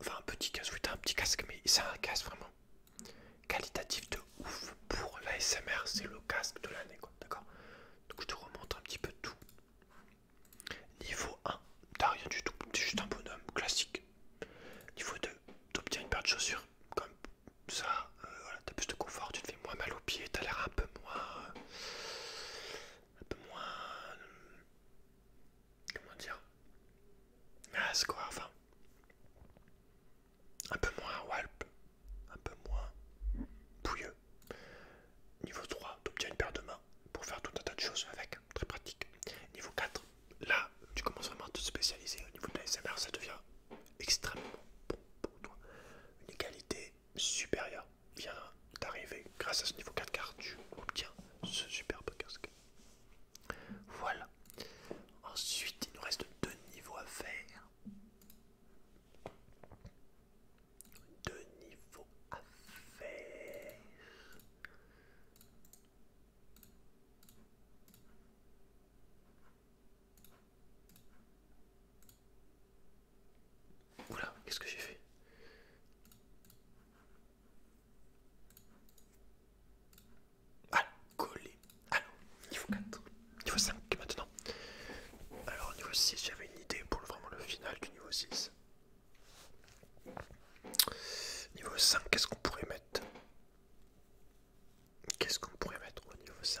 Enfin, un petit casque, oui, t'as un petit casque, mais c'est un casque vraiment qualitatif de ouf pour l'ASMR. C'est le casque de l'année, quoi, d'accord donc je te remonte un petit peu tout. Niveau 1, t'as rien du tout, t'es juste un bonhomme classique. Niveau 2, t'obtiens une paire de chaussures. Comme ça, euh, t'as plus de confort, tu te fais moins mal aux pieds, t'as l'air un peu moins. un peu moins. comment dire quoi, enfin. Un peu moins walp, un peu moins pouilleux. Niveau 3, tu obtiens une paire de mains pour faire tout un tas de choses avec, très pratique. Niveau 4, là, tu commences vraiment à te spécialiser. Au niveau de SMR, ça devient extrêmement bon pour toi. Une qualité supérieure vient d'arriver grâce à ce niveau 4 car tu obtiens ce superbe casque. Voilà. Ensuite, il nous reste deux niveaux à faire deux niveaux à faire. Oula, qu'est-ce que j'ai fait Ah, coller. Alors, niveau quatre. Niveau 5 maintenant. Alors, niveau 6, j'avais une idée pour vraiment le final du niveau 6. Niveau 5, qu'est-ce qu'on pourrait mettre Qu'est-ce qu'on pourrait mettre au niveau 5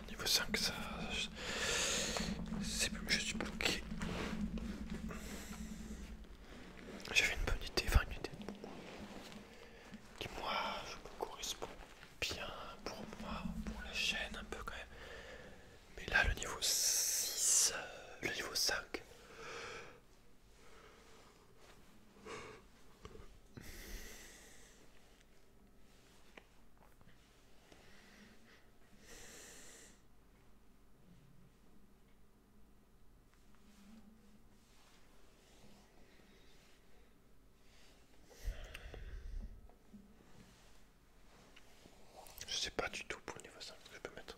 niveau 5, ça. C'est plus, je suis bloqué. J'avais une bonne idée, enfin une idée qui, moi, je me correspond bien pour moi, pour la chaîne, un peu quand même. Mais là, le niveau 6, le niveau 5. Je sais pas du tout pour le niveau 5 que je peux mettre.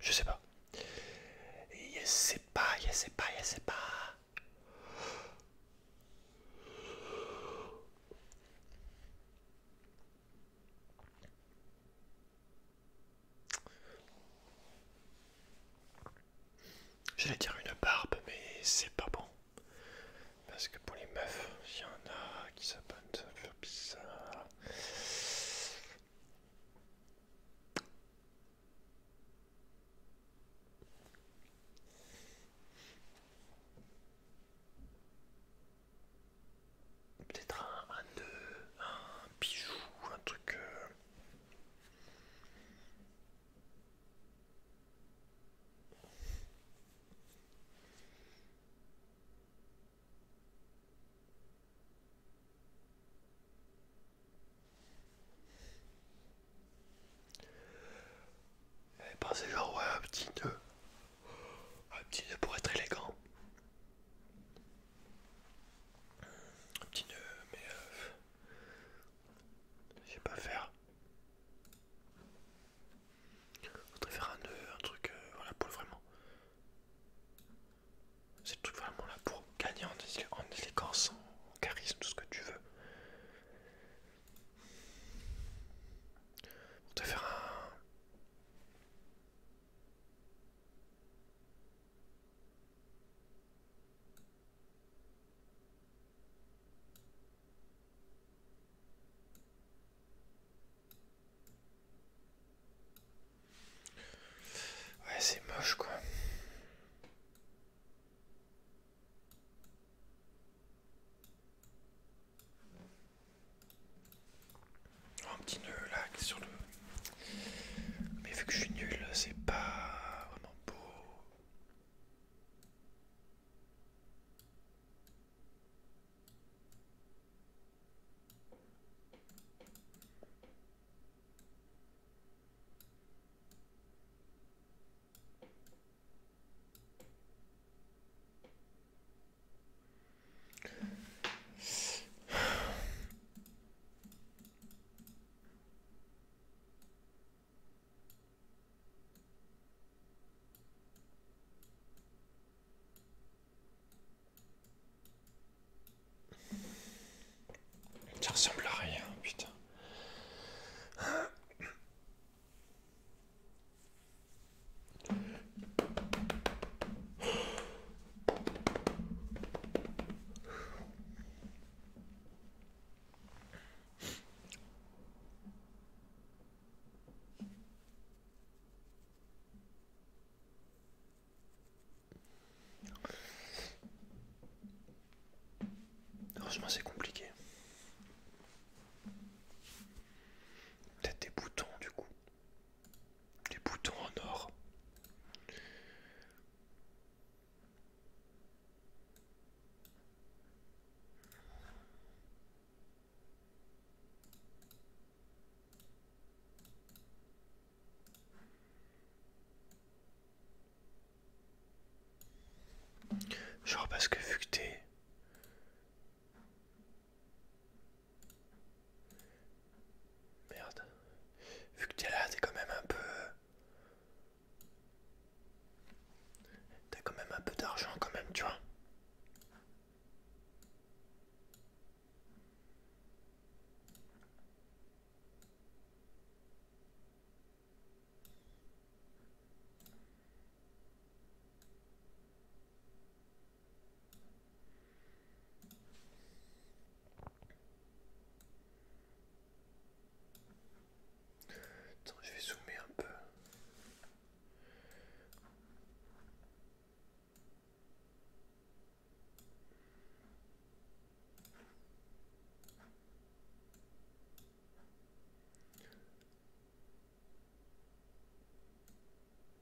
Je sais pas. Il ne sait pas, Il ne sait pas, Il ne sait pas. J'allais dire une barbe, mais c'est pas bon. Parce que pour les meufs, il y en a qui s'abonnent, ça fait bizarre peut-être un, nœud, un bijou, un truc. Euh... Eh ben, c'est genre ouais, un petit nœud. Un petit nœud pour être élégant. Un petit nœud, mais euh, je sais pas faire. Je voudrais faire un nœud, un truc, voilà, euh, pour vraiment. C'est le truc vraiment là pour gagner en, en en, charisme, tout ce que tu veux. On te faire un. Ouais, c'est moche quoi. Un petit nœud là sur le. Mais vu que je suis nul, c'est pas vraiment beau. Ça ressemble à rien, putain. Heureusement c'est compliqué. Peut-être des boutons du coup. Des boutons en or. Genre parce que vu que t'es... Merde. Vu que t'es là, t'es quand même un peu... T'as quand même un peu d'argent quand même, tu vois. Attends, je vais zoomer un peu.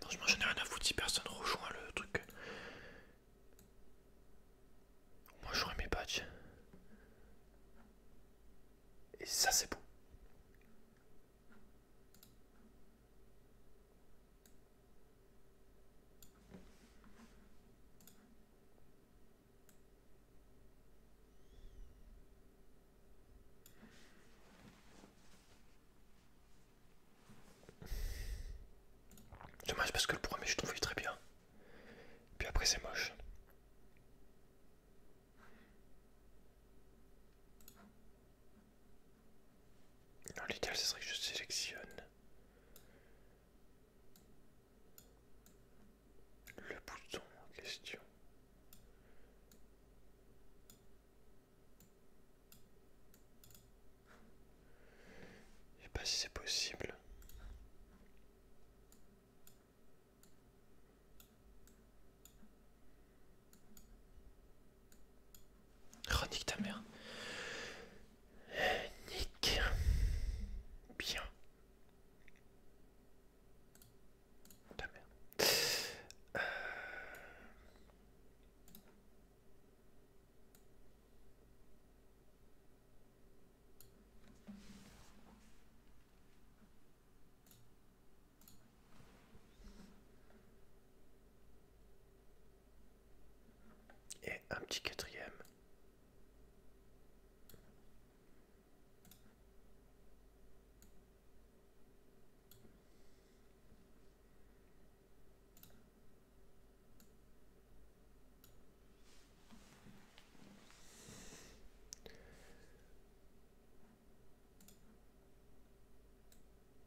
Franchement, m'en ai rien à foutre si personne rejoint le truc. Moi, j'aurai mes badges. Et ça, c'est beau. Dommage parce que le premier je trouve très bien. Puis après c'est moche. En l'idéal, ce serait que je sélectionne le bouton en question. Je sais pas si c'est possible. Oh, nique ta mère. Nique. Bien. Ta mère et un petit quatrième.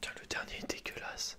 Tiens, le dernier est dégueulasse.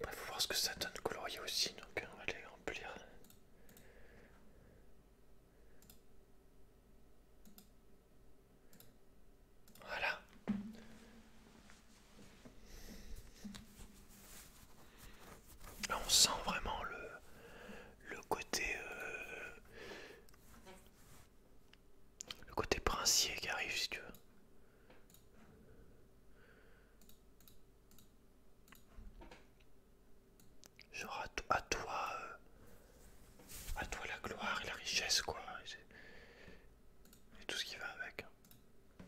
Il faut voir ce que ça donne colorier aussi, donc euh, on va les remplir. Voilà. Ah, on sent vraiment le, le côté euh, le côté princier qui arrive si tu veux. Genre à, toi, euh, à toi la gloire et la richesse quoi, et, tout ce qui va avec. Hein.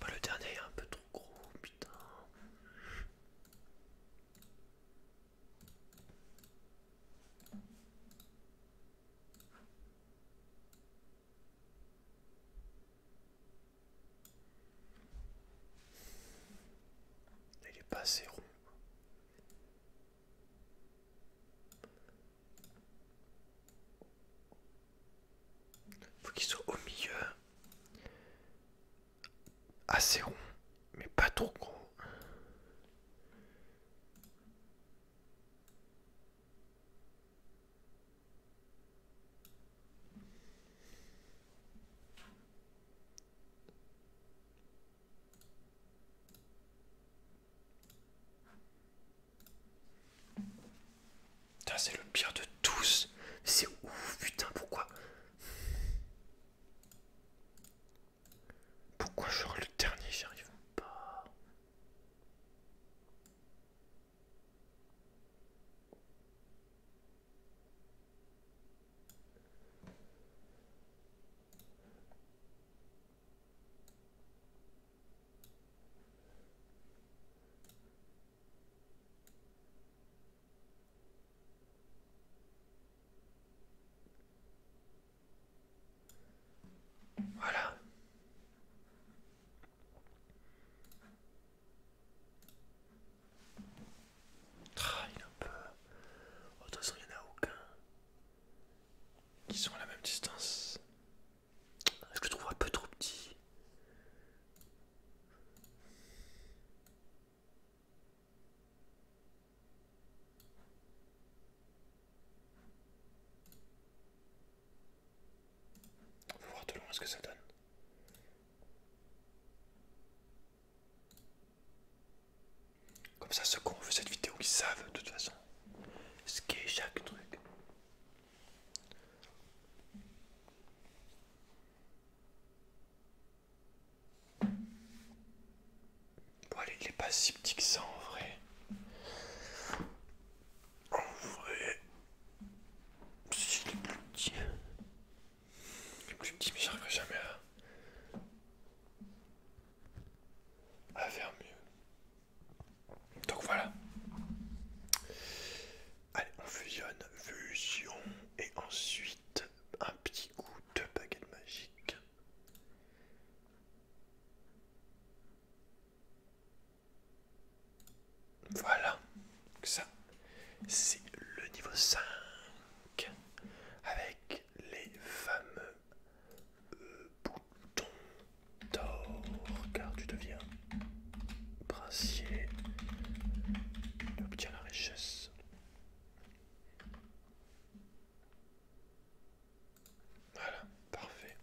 Bah, le dernier est un peu trop gros, putain. Il est pas assez rond. Faut qu'il soit au milieu assez rond mais pas trop gros. c'est le pire de tous. C'est ouf, putain, pourquoi pourquoi j'aurai le dernier J'y arrive pas. Voilà. Ah, il un peu... Oh, de il n'y en a aucun qui sont à la même distance. Je trouve un peu trop petit. On voir de loin ce que ça donne. Comme ça, ceux qui ont cette vidéo, ils savent de toute façon ce qu'est chaque truc. Bon, allez, il n'est pas si petit que ça en vrai. En vrai, c'est le plus petit, il plus petit, mais j'arriverai jamais à, à faire mieux. Donc voilà. Allez, on fusionne, fusion, et ensuite un petit coup de baguette magique. Voilà, ça c'est le niveau 5 avec les fameux euh, boutons d'or car tu deviens princier, tu obtiens la richesse. Voilà, parfait.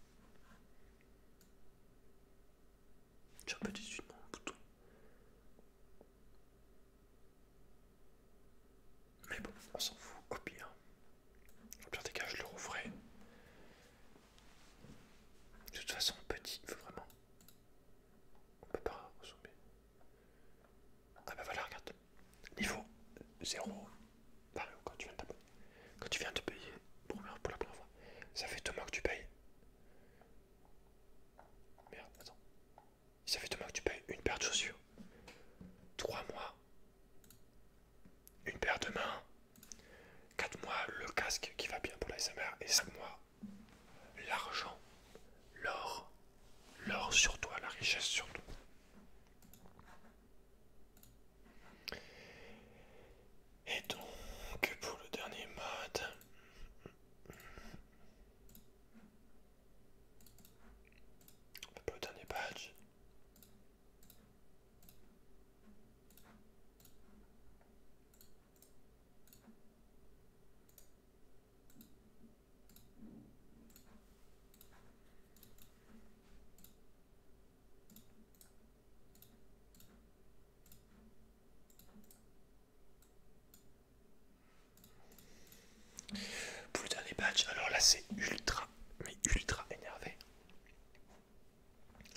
J'ai un peu déçu bouton. Mais bon, on s'en fout, au pire. Au pire des cas, je le rouvrais. De toute façon, petit, faut vraiment. On peut pas ressembler. Ah bah voilà, regarde. Niveau 0, quand tu viens de t'abonner. Quand tu viens te payer pour, la première fois, ça fait deux mois que tu payes. Merde, attends. Ça fait deux mois que tu payes une paire de chaussures. Trois mois. Une paire de mains. Quatre mois, le casque qui va bien pour l'ASMR Et 5 mois, l'argent, l'or, l'or sur toi, la richesse sur nous. Et donc, pour le dernier mode, pour le dernier badge, pour le dernier alors là c'est ultra, mais ultra énervé.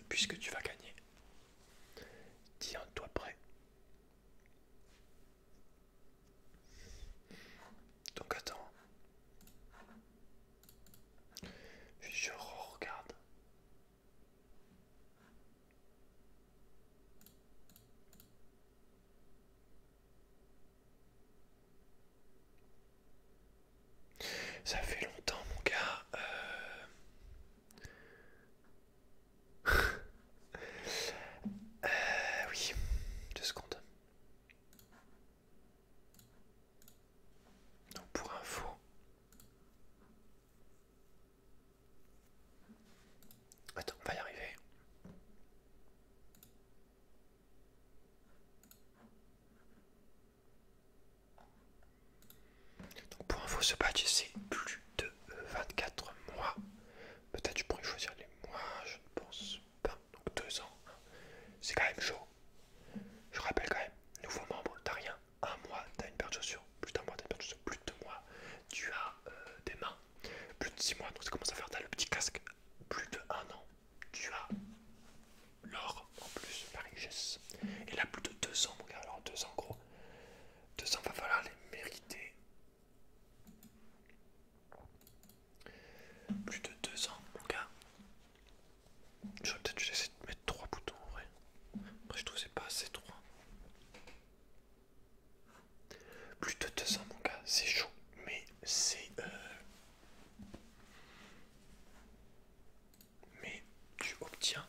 Puisque tu vas gagner. Tiens-toi prêt. Donc attends. je regarde. Ça fait longtemps mon gars. Euh. Euh, oui, deux secondes. Donc pour info, attends, on va y arriver. Donc pour info, ce badge c'est plus de 24 euh, mois. Peut-être je pourrais choisir les mois, je pense donc deux ans, c'est quand même chaud. Je rappelle quand même, nouveau membre, t'as rien, un mois, t'as une paire de chaussures, plus d'un mois, t'as une paire de chaussures, plus de deux mois, tu as euh, des mains, plus de six mois, donc ça commence à faire, t'as le petit casque, plus de un an, tu as l'or en plus, la richesse, et là plus de deux ans, mon gars, alors deux ans, gros, deux ans, va falloir les mériter. Plus de deux ans, mon gars. J'aurais peut-être dû essayer de mettre trois boutons en vrai. Après, je trouve que c'est pas assez trois. Plus de deux ans, mon gars, c'est chaud, mais c'est. Euh... Mais tu obtiens.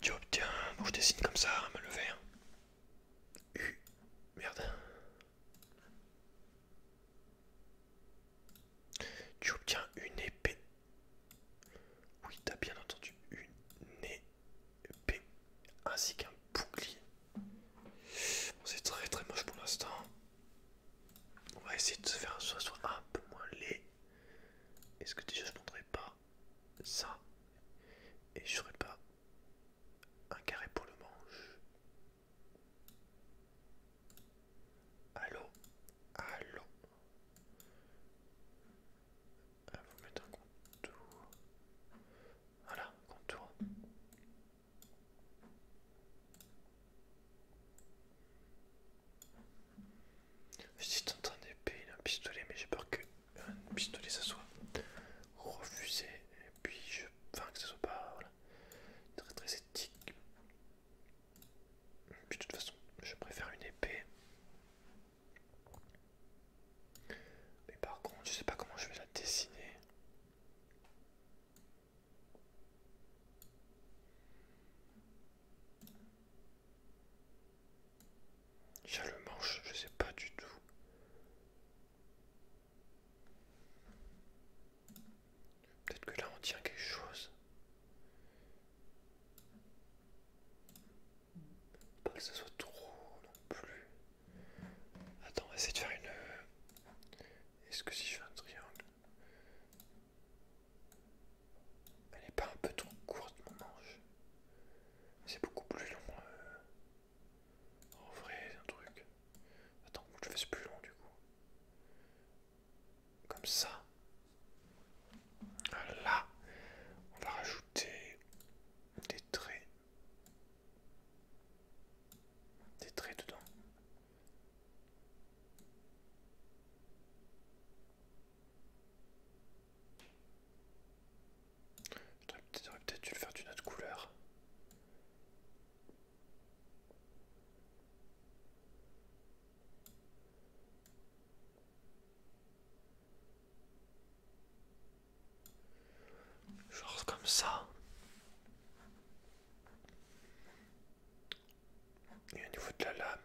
Tu obtiens, bon je dessine comme ça, me lever. Hein. U, merde. Tu obtiens une épée. Oui, t'as bien entendu, une épée ainsi qu'un bouclier. C'est très très moche pour l'instant. On va essayer de se faire un un peu moins laid. Est-ce que déjà je montrerai pas ça, et je ferai pas un carré pour le manche. Allô, allô. vais ah, vous mettre un contour. Voilà, contour. Je suis en train d'épiler un pistolet, mais j'ai peur que un pistolet ça soit refusé et puis je enfin que ça soit pas voilà, très très éthique puis de toute façon je préfère une épée mais par contre je sais pas comment je vais la dessiner j'ai le manche, je sais pas du tout. Peut-être que là on tient quelque chose. Pas que ce soit trop non plus. Attends, on va essayer de faire une. Euh, est-ce que si je fais un triangle. Elle n'est pas un peu trop courte mon manche c'est beaucoup plus long. Euh. En vrai, c'est un truc. Attends, que je fasse plus long du coup. Comme ça. Là, on va rajouter des traits. Des traits dedans. Je J'aurais peut-être le faire d'une autre couleur. Genre comme ça. Et au niveau de la lame.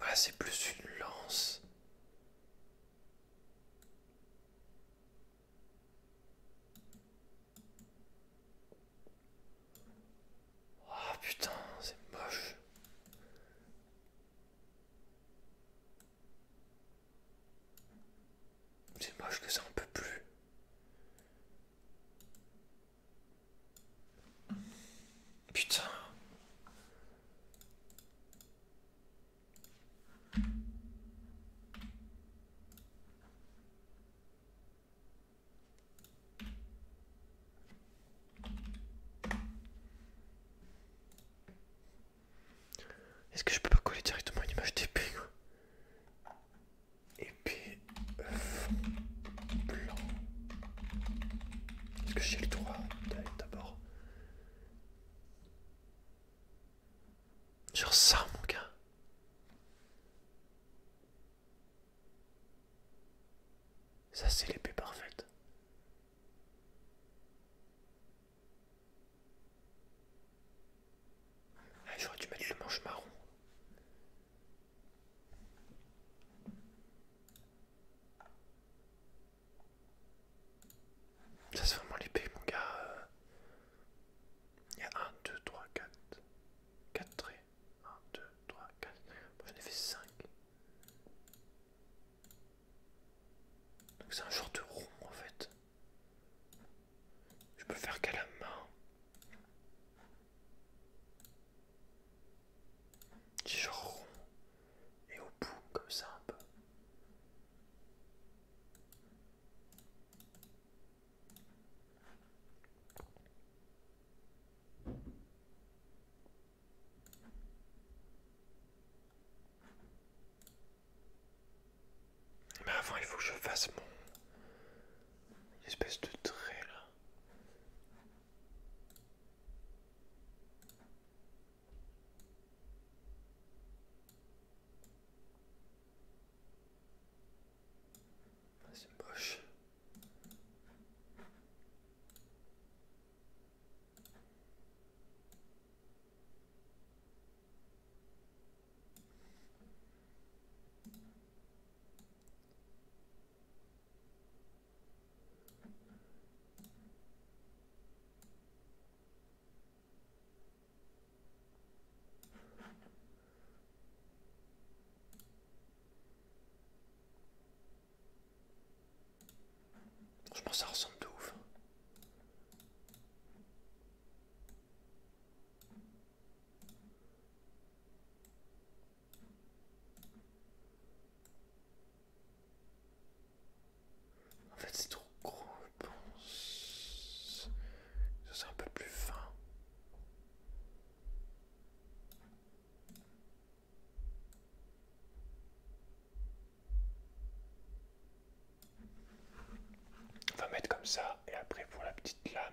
Ah, c'est plus une lance. Oh putain, c'est moche. C'est moche que ça, un peut plus. Putain. Est-ce que je peux pas coller directement une image d'épée puis, fond euh, blanc. Est-ce que j'ai le droit d'aller d'abord Genre ça, mon gars. Ça, c'est l'épée parfaite. Ah, j'aurais dû mettre le manche marron. Ça c'est vraiment l'épée mon gars. Il y a 1, 2, 3, 4. 4 traits. 1, 2, 3, 4. j'en ai fait 5. Donc c'est un genre de rond en fait. Je peux faire qu'à la main. J'ai rond et au bout comme ça un peu. Mais avant, il faut que je fasse mon. espèce de trait là. C'est je pense ça ressemble de ouf. En fait, c'est trop gros, je pense. Ça, c'est un peu plus fin. On va mettre comme ça, et après pour la petite lame,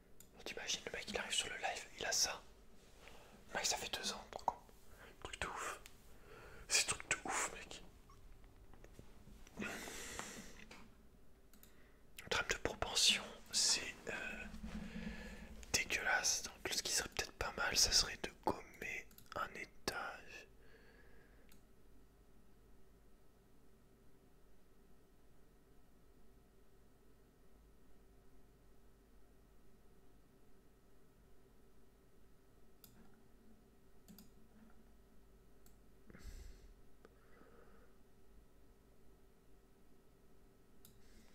t'imagines, le mec il arrive sur le live, il a ça. Le mec, ça fait deux ans, par Truc de ouf. C'est truc de ouf, mec. Le trame de propension, c'est euh, dégueulasse. Donc, ce qui serait peut-être pas mal, ça serait de gommer un étage.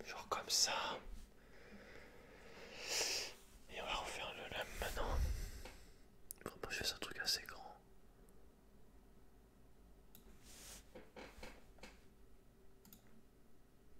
Genre comme ça. Et on va refaire le lame maintenant. Vraiment, je faire un truc assez grand.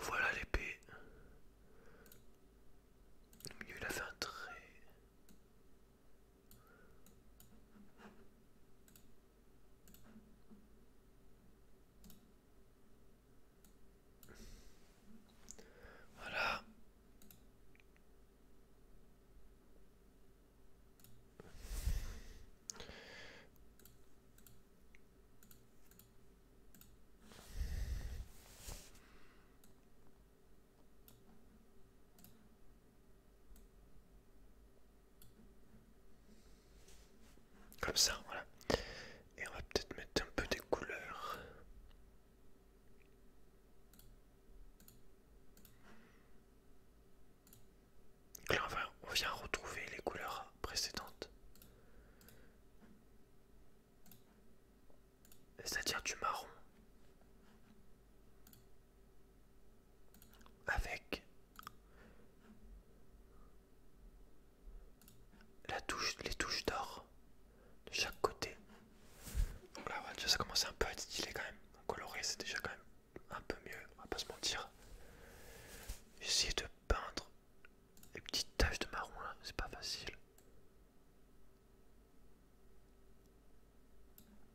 voilà l'épée. Mieux la il Voilà. Comme ça, voilà. Et on va peut-être mettre un peu des couleurs là, on vient retrouver les couleurs précédentes. C'est-à-dire du marron. Avec la les touches d'or de chaque côté donc là, voilà, déjà, ça commence un peu à être stylé quand même. Coloré, c'est déjà quand même un peu mieux, on va pas se mentir. J'essaie de peindre les petites taches de marron là, c'est pas facile.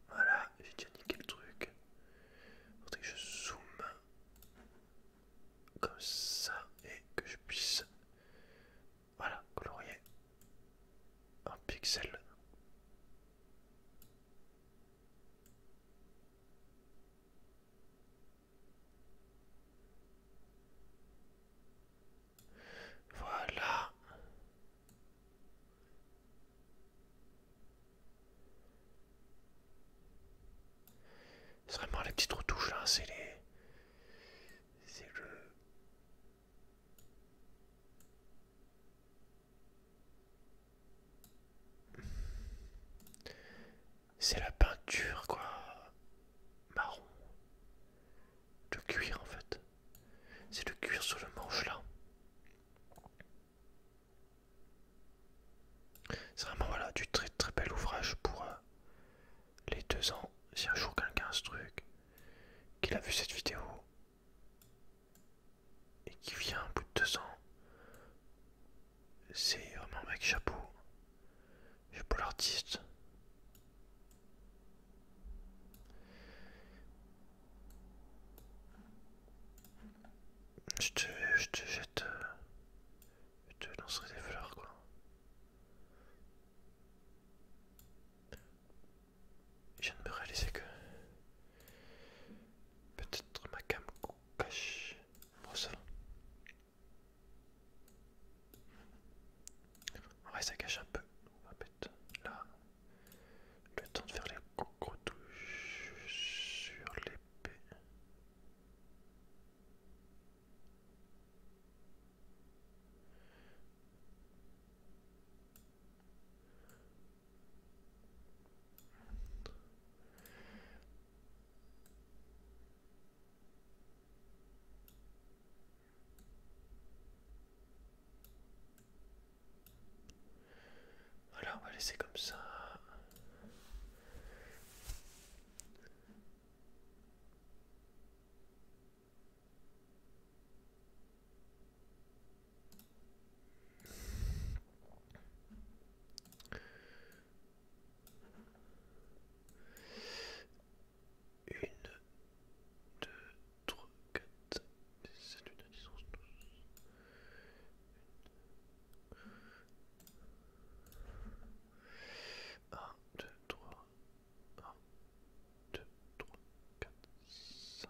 Voilà, j'ai déjà niqué le truc. Faudrait que je zoome comme ça et que je puisse voilà colorier un pixel voilà. C'est vraiment les petite retouches là, hein, c'est les... C'est le... C'est la peinture, quoi. Marron. de cuir, en fait. C'est le cuir sur le manche, là. C'est vraiment, voilà, du très très bel ouvrage pour euh, les deux ans. Si un jour quelqu'un a ce truc, qu'il a vu cette vidéo, et qui vient au bout de deux ans, c'est vraiment un mec chapeau. Chapeau l'artiste. Je te, je te jette. Euh, je te lancerai des fleurs quoi. Je viens de me réaliser que peut-être ma cam cache. Bon, ça Ouais, ça cache un peu. On va mettre là le temps de faire les gros touches sur l'épée. Voilà, on va laisser comme ça. Une, deux, trois, quatre, c'est une distance douze. Un, deux, trois, un, deux, trois, quatre, cinq.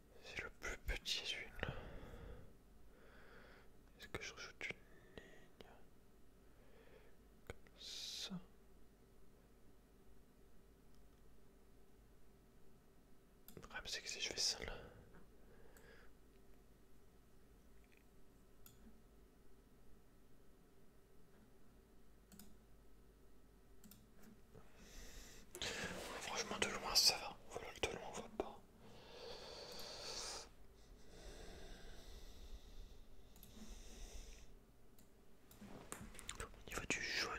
C'est le plus petit celui-là. Est-ce que je rajoute une ligne comme ça Le c'est que si je fais ça là. Franchement, de loin, ça va. Voilà, de loin, on voit pas. Au niveau du jaune,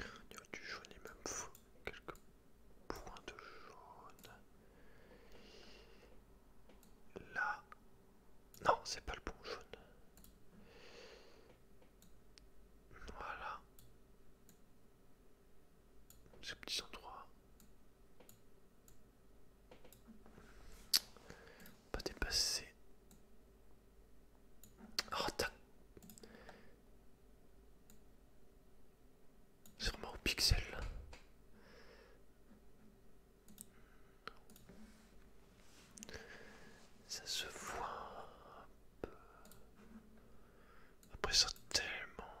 au niveau du jaune, il me faut quelques points de jaune. Là, non, c'est pas le bon jaune. Voilà. petit petit on Pas dépasser. Oh, C'est vraiment au pixel. Ça se voit un peu. Après ça tellement...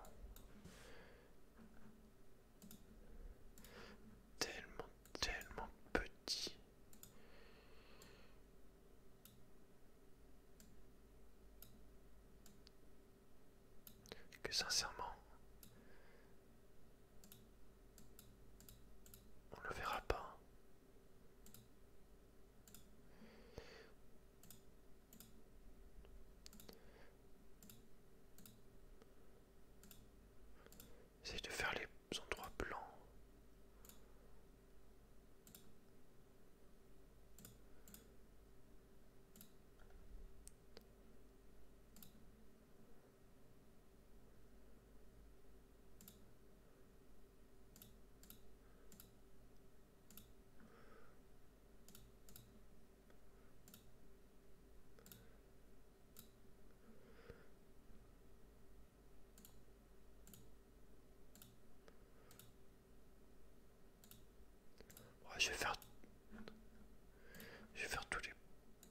Tellement, tellement petit. Que sincèrement, on le verra pas. C'est de faire les endroits blancs je vais faire je vais faire tous les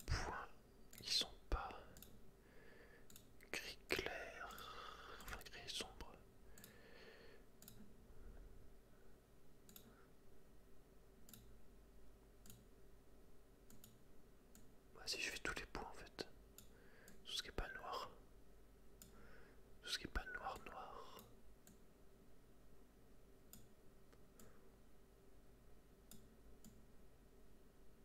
points qui sont pas gris clair, enfin gris sombre. vas ah, si je fais tous les points en fait, tout ce qui est pas noir, tout ce qui est pas noir, noir.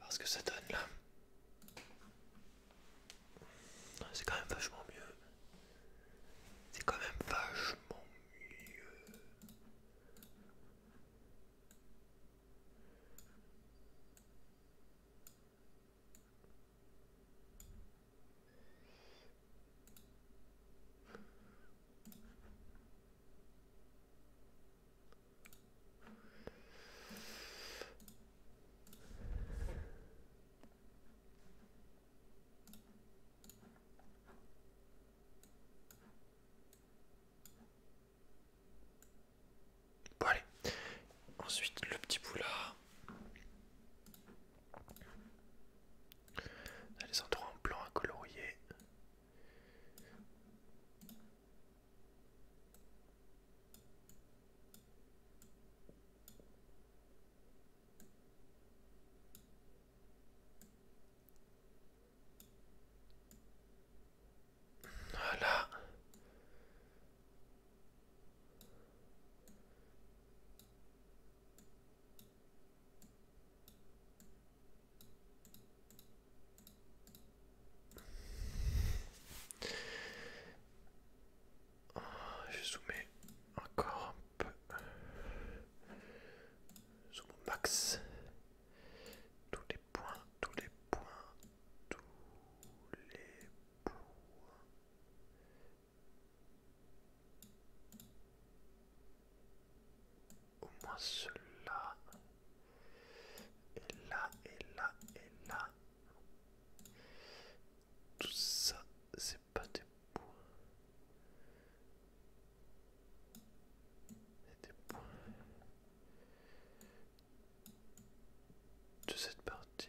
Parce que ça donne là. C'est quand même vachement mieux. C'est quand même vachement mieux. Bon allez, ensuite le petit boulard les endroits en blanc à colorier. Voilà. Oh, je je zoomer encore un peu. Zoom mon max. Tous les points, tous les points, tous les points. Au moins cela. Et là, et là, et là. Tout ça, c'est pas des points. des points de cette partie.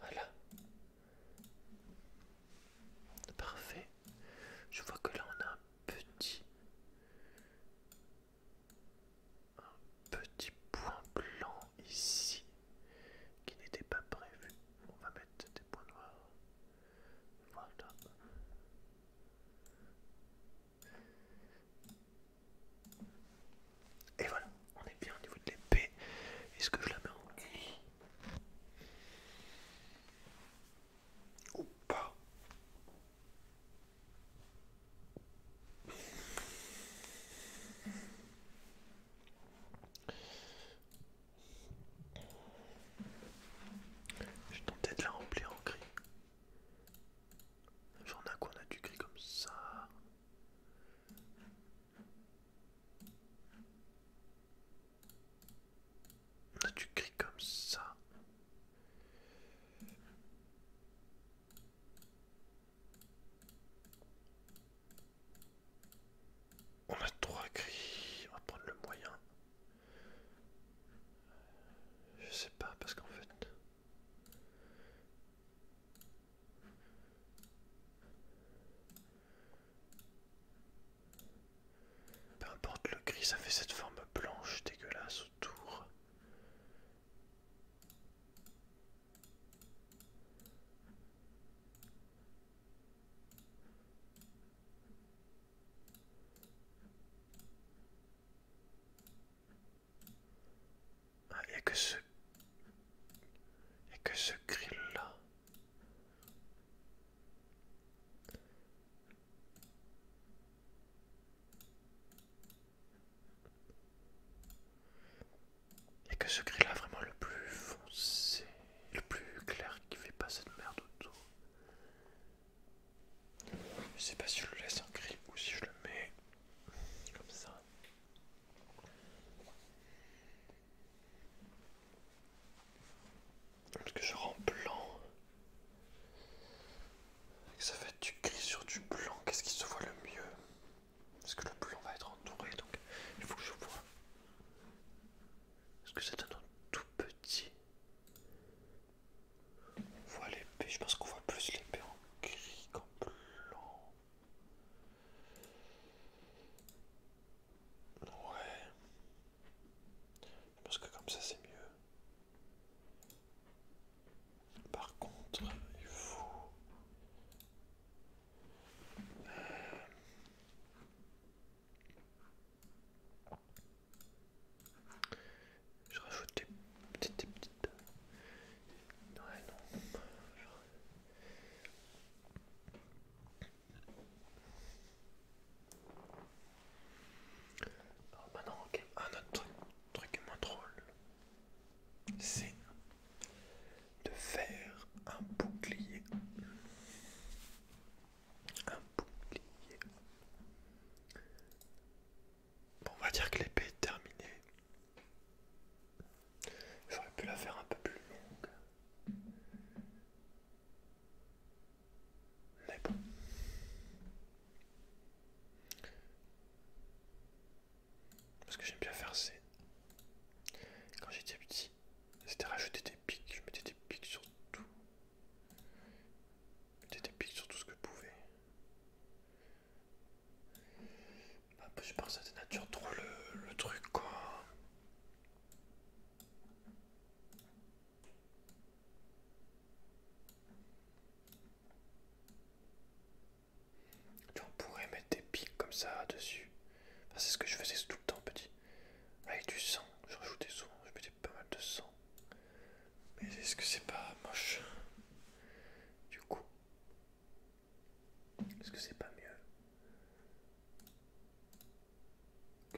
Voilà. Parfait. Je vois que là on a un petit... Un petit point blanc ici qui n'était pas prévu. On va mettre des points noirs. Voilà. Et voilà on est bien au niveau de l'épée. Est-ce que je la mets en gris ou pas Je vais tenter de la remplir en gris. J'en ai quoi On a du gris comme ça. On a du comme ça. On a trois cris. on va prendre le moyen. Je sais pas parce qu'en fait, peu importe le gris, ça fait cette forme blanche dégueulasse autour. Ah, il a que et que ce grill-là et que ce gris là vraiment le plus foncé, le plus clair qui fait pas cette merde autour. Je sais pas si je le laisse en gris ou si je le mets comme ça. Parce que je rends blanc. ça va être du gris sur du blanc. Qu'est-ce qui se voit le mieux Parce que le blanc va être entouré, donc il faut que je vois. Est-ce que c'est un tout petit On voit l'épée. Je pense qu'on voit plus l'épée en gris qu'en blanc. Ouais. Je pense que comme ça c'est mieux. Par contre, il faut... Euh, je rajoute des petites... Euh, maintenant, oh, bah un autre truc, truc moins drôle, c'est de faire un bouclier. Un bouclier. Bon, on va dire que l'épée est terminée. J'aurais pu la faire un peu plus longue. Mais bon. Parce que j'aime bien faire c'est... Quand j'étais petit, c'était rajouter des pics. Je mettais des pics sur tout. Je mettais des pics sur tout ce que je pouvais. Bah, bah, je pense que ça dénature trop le, truc quoi. Tu pourrait mettre des pics comme ça dessus. c'est ce que je faisais tout le temps petit. Avec du sang, je rajoutais souvent, je mettais pas mal de sang. Mais est-ce que c'est pas moche Du coup, est-ce que c'est pas mieux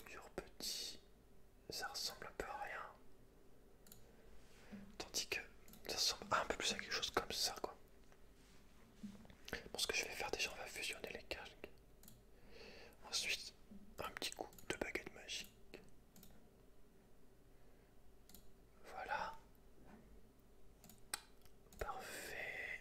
Dur, petit, ça ressemble un peu à rien. Tandis que ça ressemble un peu plus à quelque chose comme ça, quoi. Bon, ce que je vais faire déjà, on va fusionner les casques. Ensuite, un petit coup de baguette magique. Voilà. Parfait.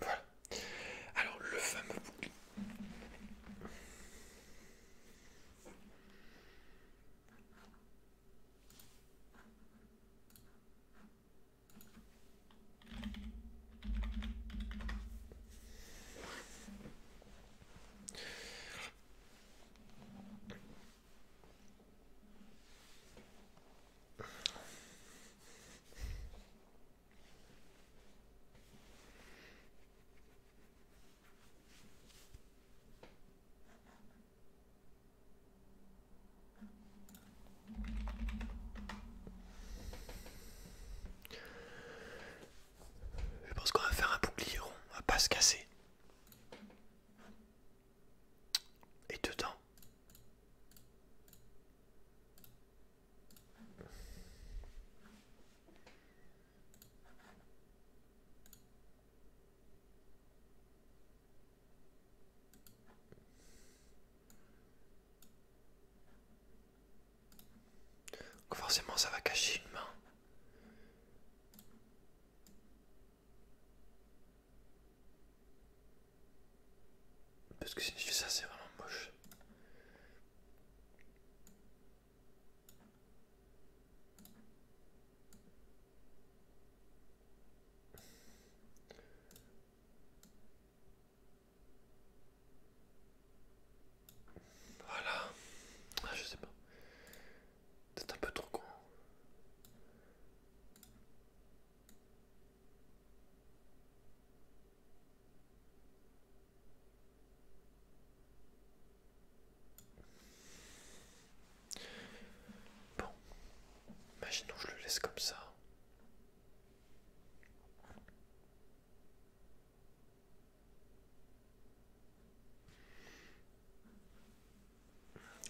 Voilà. Alors, le fameux bouclier. Je pense qu'on va faire un bouclier rond, on va pas se casser. Et dedans, forcément ça va cacher une main. Parce que si je fais ça, c'est vraiment moche. Voilà. Ah, je sais pas. C'est un peu trop con. Bon, imaginons je le laisse comme ça.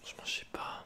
Je m'en sais pas.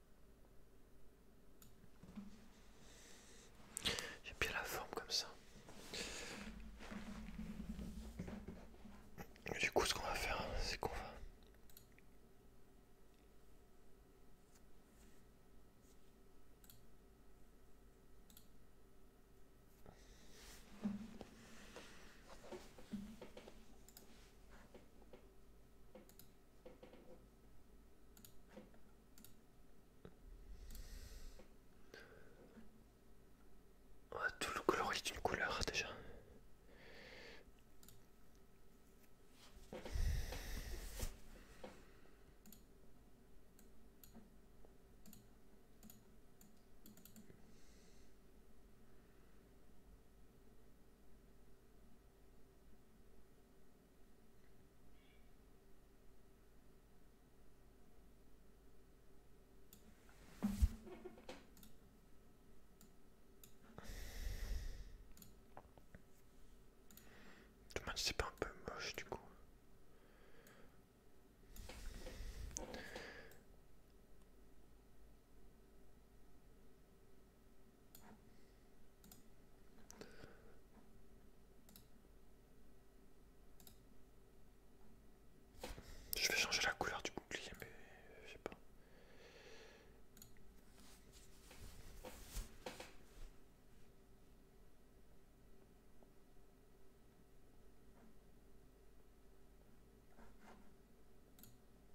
J'ai bien la forme comme ça. du coup, ce qu'on va faire, c'est qu'on va. Ah, tout le coloris d'une couleur déjà. Tu me c'est pas un peu moche du coup. Je vais changer la couleur du bouclier, mais je sais pas.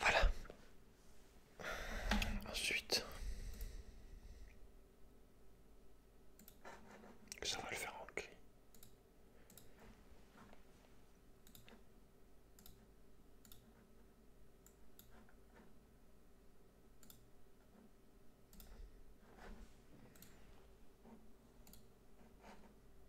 Voilà. Ensuite, ça va le faire en cri.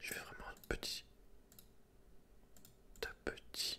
Je vais vraiment un petit ta petit.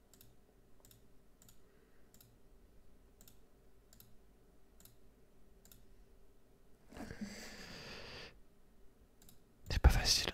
C'est pas facile.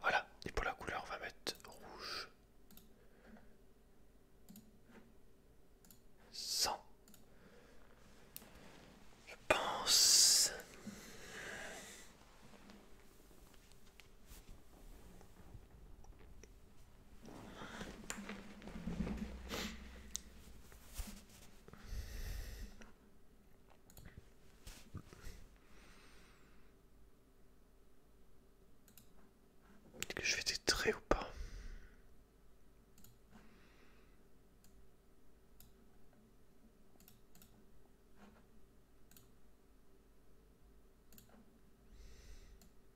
Voilà, et pour la couleur, on va mettre rouge. 100. Je pense. Est-ce que je fais des traits ou pas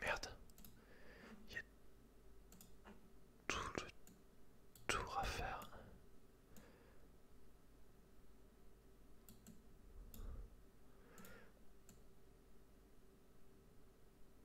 Merde. Il y a tout le tour à faire.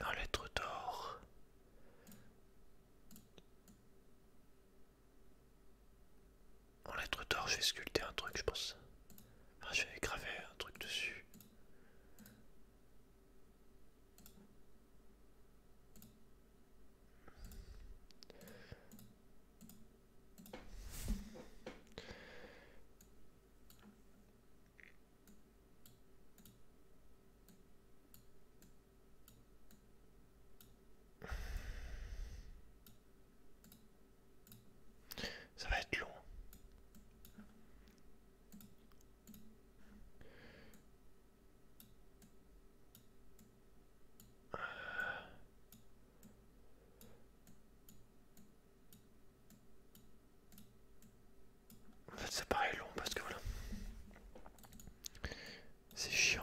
En lettre d'or. En lettre d'or, je vais sculpter un truc, je pense. je vais graver un truc dessus. Ça va être long ça paraît long parce que voilà. C'est chiant.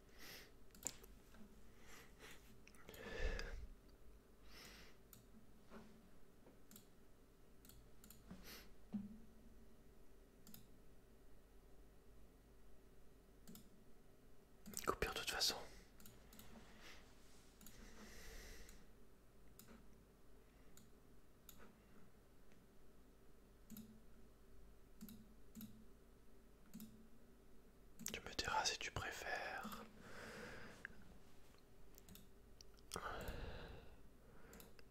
Coupure de toute façon. Tu me diras si tu préfères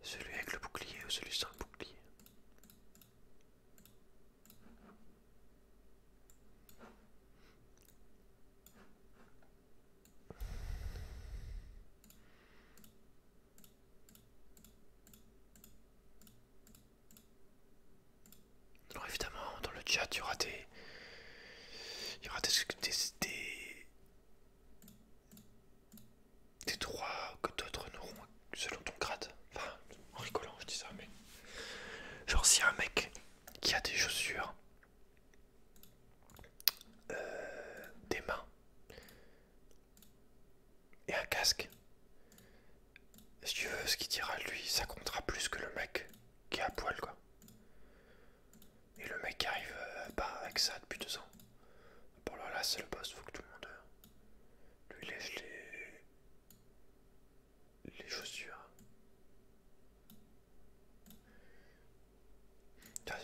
celui avec le bouclier ou celui sans bouclier. Alors évidemment, dans le chat, il y aura des... Il y aura des... des, des, droits que d'autres n'auront selon ton grade. Enfin, en rigolant, je dis ça, mais... Genre, si un mec qui a des chaussures, euh, des mains et un casque, si tu veux, ce qu'il dira lui, ça comptera plus que le mec qui est à poil, quoi. Et le mec qui arrive pas euh, bah, avec ça depuis deux ans. Bon, là, c'est le boss, faut que tout le monde euh, lui lève les... les chaussures.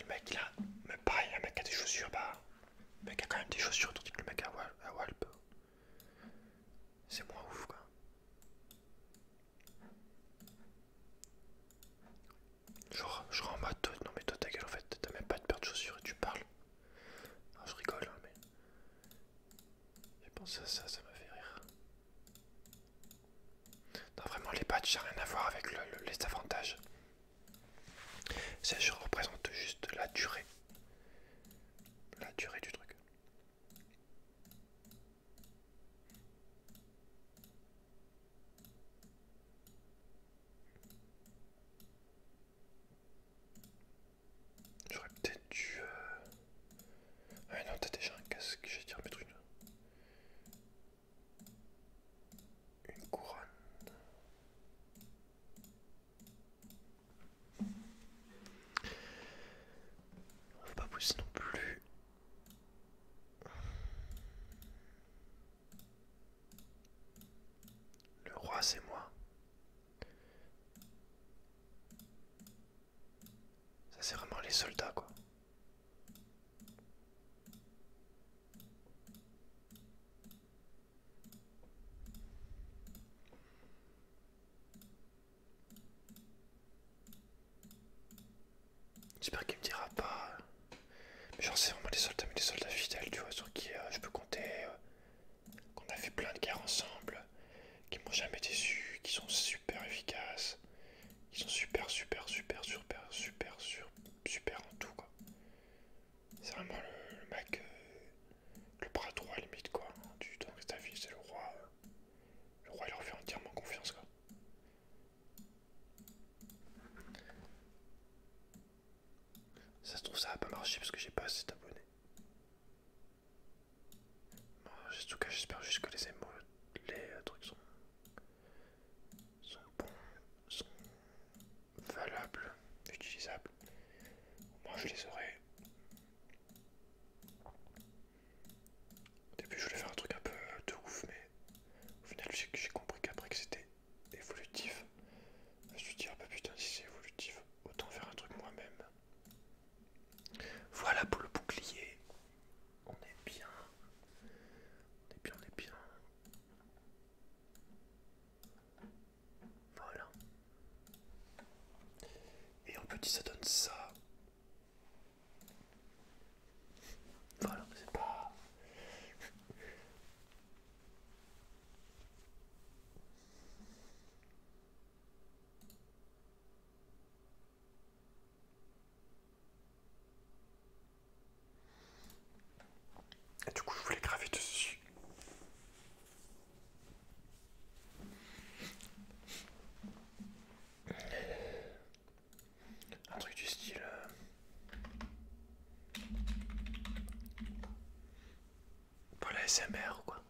le mec, a mais pareil, le mec a des chaussures, bas, Le mec a quand même des chaussures, tandis que le mec à Walp. C'est moins ouf quoi. Genre, je rends en mode, non mais toi ta gueule en fait, t'as même pas de paire de chaussures et tu parles. Ah, je rigole, hein, mais. J'ai pensé à ça, ça m'a fait rire. Non, vraiment, les patchs, ça rien à voir avec les avantages. Ça, je représente juste la durée. La durée du truc. J'aurais peut-être dû... Euh, ah non, t'as déjà un casque, j'ai dû le une... Une couronne. On va pas pousser non plus. Le roi, c'est moi. Ça, c'est vraiment les soldats, quoi. J'espère qu'il me dira pas. Mais genre c'est vraiment des soldats, mais des soldats fidèles, tu vois, sur qui euh, je peux compter. Euh, qu'on a fait plein de guerres ensemble, qui m'ont jamais déçu, qui sont super efficaces, qui sont super, super, super, super, super, super, en tout quoi. C'est vraiment le, le mec, euh, le bras droit limite quoi, hein, du ta vie, c'est le roi le roi leur fait entièrement confiance quoi. Ça se trouve ça va pas marché parce que j'ai pas assez d'abonnés. en tout cas j'espère juste que les émo les euh, trucs sont sont bons, sont valables, utilisables. Moi je les aurai au début, je voulais faire un truc un peu de ouf, mais au final, j'ai compris qu'après que c'était évolutif, je me suis dit, ah bah putain, si c'est évolutif, autant faire un truc moi-même. Voilà pour le bouclier. On est bien. On est bien, on est bien. Voilà. Et en petit, ça donne ça. Voilà, c'est pas. du coup, je voulais graver dessus. Un truc du style. Euh, pour la SMR ou quoi.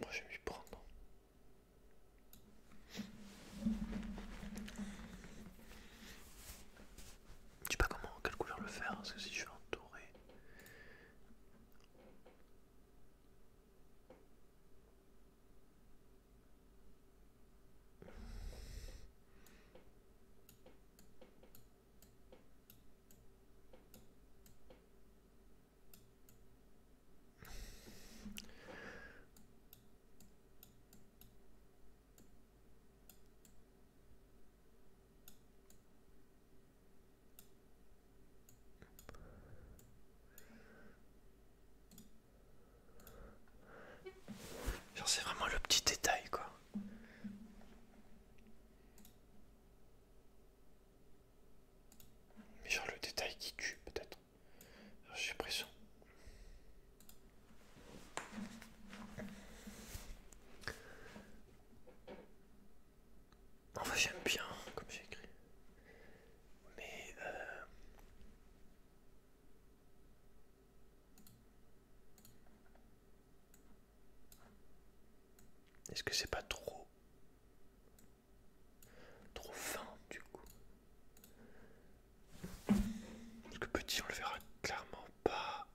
Comment je vais prendre je sais pas comment, quelle couleur le faire, parce que si je veux c'est vraiment le petit détail quoi. Mais genre le détail qui tue peut-être. J'ai l'impression. Enfin j'aime bien comme j'ai écrit. Mais... Euh, est-ce que c'est pas trop Trop fin du coup. Le petit on le verra clairement pas.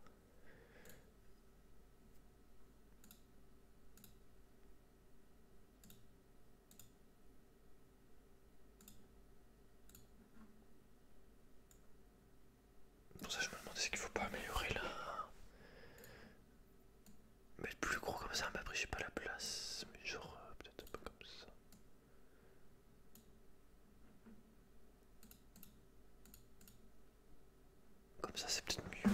Pour ça je me demandais ce qu'il faut pas améliorer là. Mais plus gros comme ça, mais après j'ai pas la place. Mais genre euh, peut-être un peu comme ça. Comme ça c'est peut-être mieux.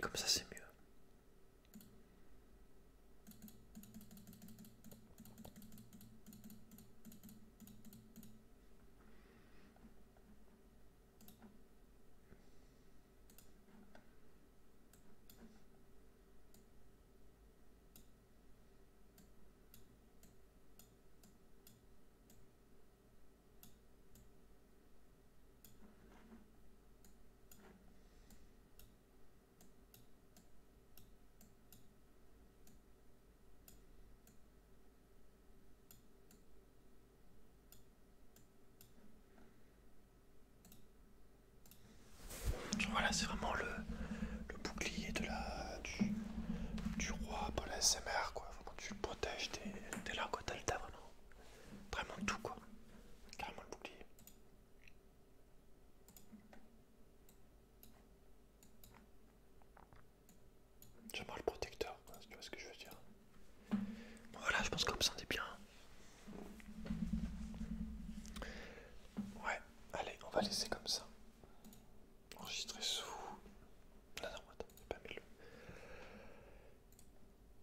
Comme ça, c'est mieux. Voilà, c'est vraiment le, bouclier de la, du, roi pour SMR, quoi. Vraiment, tu le protèges, des là, quoi. Vraiment tout quoi. Carrément le bouclier. J'aimerais le protecteur, tu vois ce que je veux dire. voilà, je pense qu'on me sentait bien. Ouais, allez, on va laisser comme ça. Enregistrer sous. Non, non, j'ai pas mis le.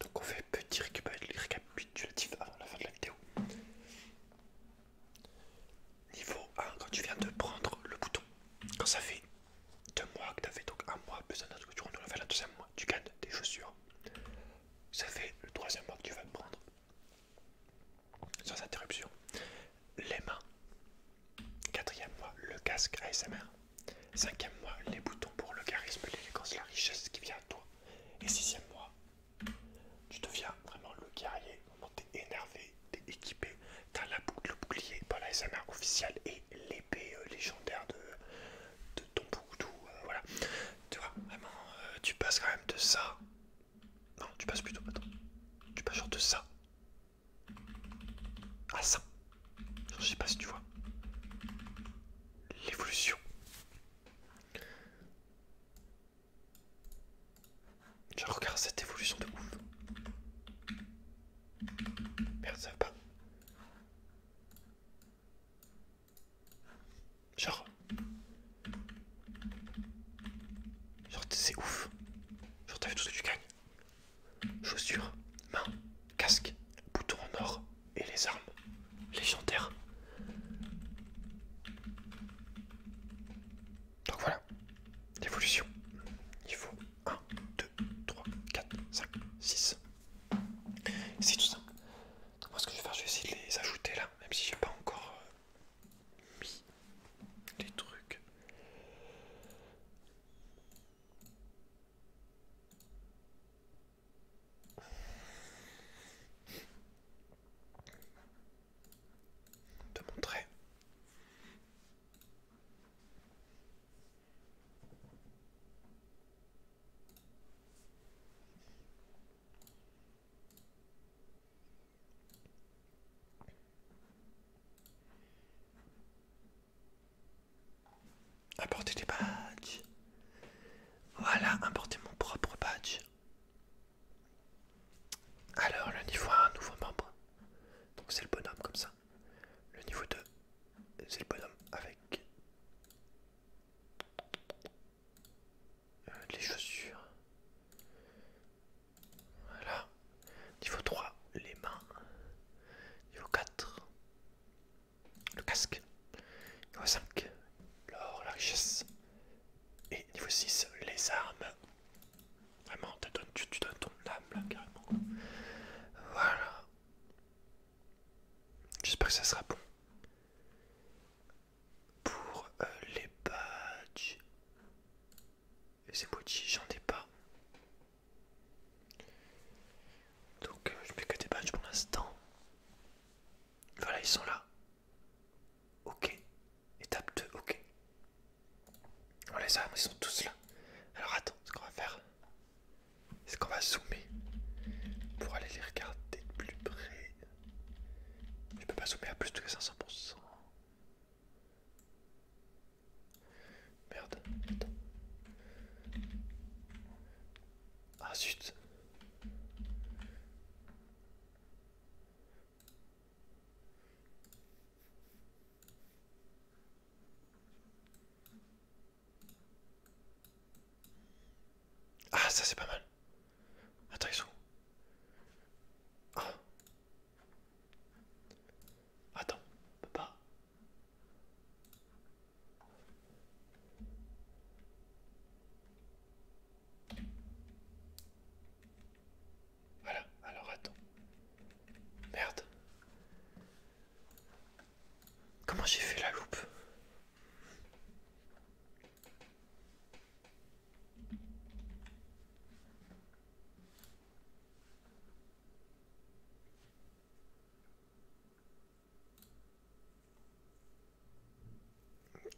Donc on fait petit récapitulatif avant la fin de la vidéo. Niveau 1, quand tu viens de prendre le bouton, quand ça fait deux mois que tu avais donc un mois besoin de autre que tu renouves la deuxième mois, tu gagnes des chaussures. Ça fait le troisième mois que tu vas te prendre sans interruption. Les mains. Quatrième mois, le casque ASMR. Cinquième mois, les boutons pour le charisme, l'élégance, la richesse qui vient à toi. Et sixième mois, tu deviens vraiment le guerrier. t'es énervé, t'es équipé, t'as la boucle, le bouclier pour l'ASMR officielle et l'épée euh, légendaire de, de ton Boutou. Euh, voilà. Tu vois, vraiment, euh, tu passes quand même de ça. Non, tu passes plutôt. maintenant. Tu passes genre de ça ah ça. Je sais pas si tu vois. L'évolution. Je regarde cette évolution de ouf. Merde, ça va pas. Genre. Genre, c'est ouf. Je t'avais tout ce que tu gagnes Chaussures, mains, casque, bouton en or et les armes légendaires. Donc voilà, l'évolution. faut 1, 2, 3, 4, 5, 6. C'est tout simple. moi ce que je vais faire, je vais essayer de les ajouter là, même si j'ai pas encore euh, les trucs. te montrer. Apporter des badges. Voilà, importer mon propre badge. Alors, le niveau 1, nouveau membre. Donc, c'est le bonhomme comme ça. Le niveau 2, c'est le bonhomme avec euh, les chaussures. Voilà. Niveau 3, les mains. Niveau 4, le casque. Niveau 5, l'or, la richesse. Et niveau 6, les armes. Vraiment, tu donnes, tu, ton âme là, carrément. Voilà. J'espère que ça sera bon. Pour euh, les badges. Et ces bouti, j'en ai pas. Donc euh, je mets que des badges pour l'instant. Voilà, ils sont là. Ok. Étape 2, ok. On les a, ils sont tous là. Alors attends, ce qu'on va faire, c'est qu'on va zoomer pour aller les regarder de plus près. Je peux pas zoomer à plus de 500%. Merde, attends. Ah zut. Ah ça c'est pas mal. Attends, ils sont Ah Attends, papa Voilà, alors attends. Merde. Comment j'ai fait la loupe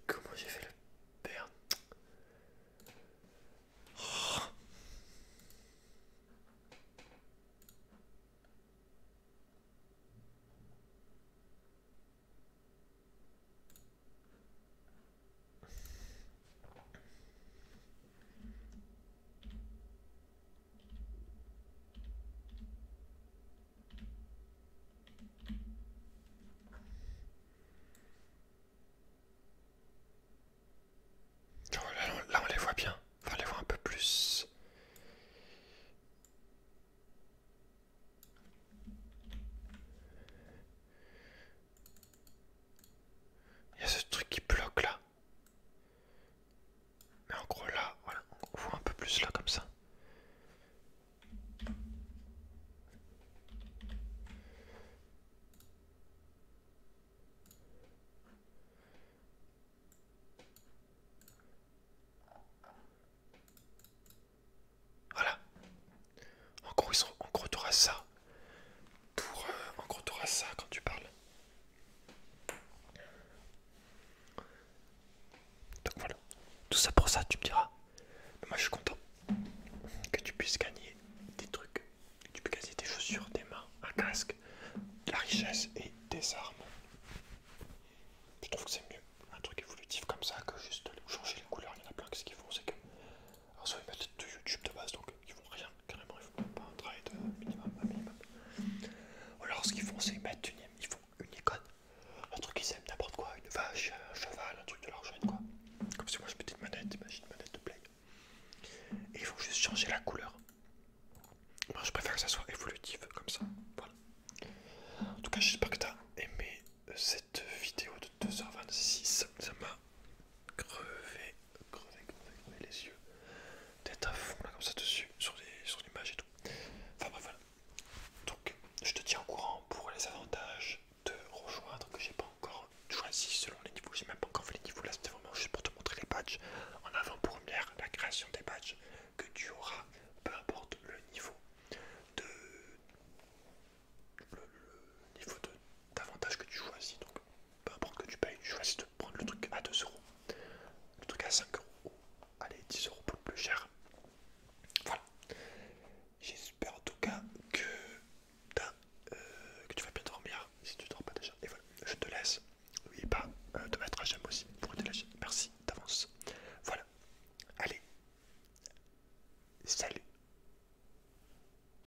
Comment j'ai fait le père là, on, les voit bien, enfin on les voit un peu plus. Il y a ce truc qui bloque là. Mais en gros là, voilà, on voit un peu plus là comme ça. Voilà. En gros, ils sont en ça. Pour, euh, en gros, t'auras ça quand tu parles. Donc voilà, tout ça pour ça, tu me diras. Mais moi, je suis content que tu puisses gagner des trucs. tu peux gagner des chaussures, des mains, un casque, de la richesse et des armes. Je trouve que c'est mieux un truc évolutif comme ça que juste changer les couleurs. Il y en a plein qui ce qu'ils font, c'est que alors, soit ils mettent de YouTube de base, donc ils font rien, carrément, ils font pas un travail de euh, minimum à minimum. Ou alors, ce qu'ils font, c'est ils mettent une, ils font une icône, un truc qu'ils aiment, n'importe quoi, une vache, un cheval, un truc de leur chaîne, quoi. Comme si moi je mettais une manette, imagine une manette de play. Et il faut juste changer la couleur. Moi, je préfère que ça soit évolutif, comme ça. Voilà. En tout cas, j'espère que t'as aimé euh, cette vidéo de 2h26. Ça m'a crevé crever, crever les yeux d'être à fond là comme ça dessus sur l'image sur et tout enfin bref voilà donc je te tiens au courant pour les avantages de rejoindre que j'ai pas encore choisi selon les niveaux j'ai même pas encore fait les niveaux là c'était vraiment juste pour te montrer les badges en avant première la création des badges que tu auras peu importe le niveau de d'avantage que tu choisis donc peu importe que tu payes, tu choisis de prendre le truc à 2 euros, le truc à 5 euros ou allez 10 euros pour le plus cher. Voilà. J'espère en tout cas que, euh, que tu vas bien dormir si tu dors pas déjà. Et voilà, je te laisse. N'oublie pas euh, de mettre un j'aime aussi pour la Merci d'avance. Voilà. Allez. Salut.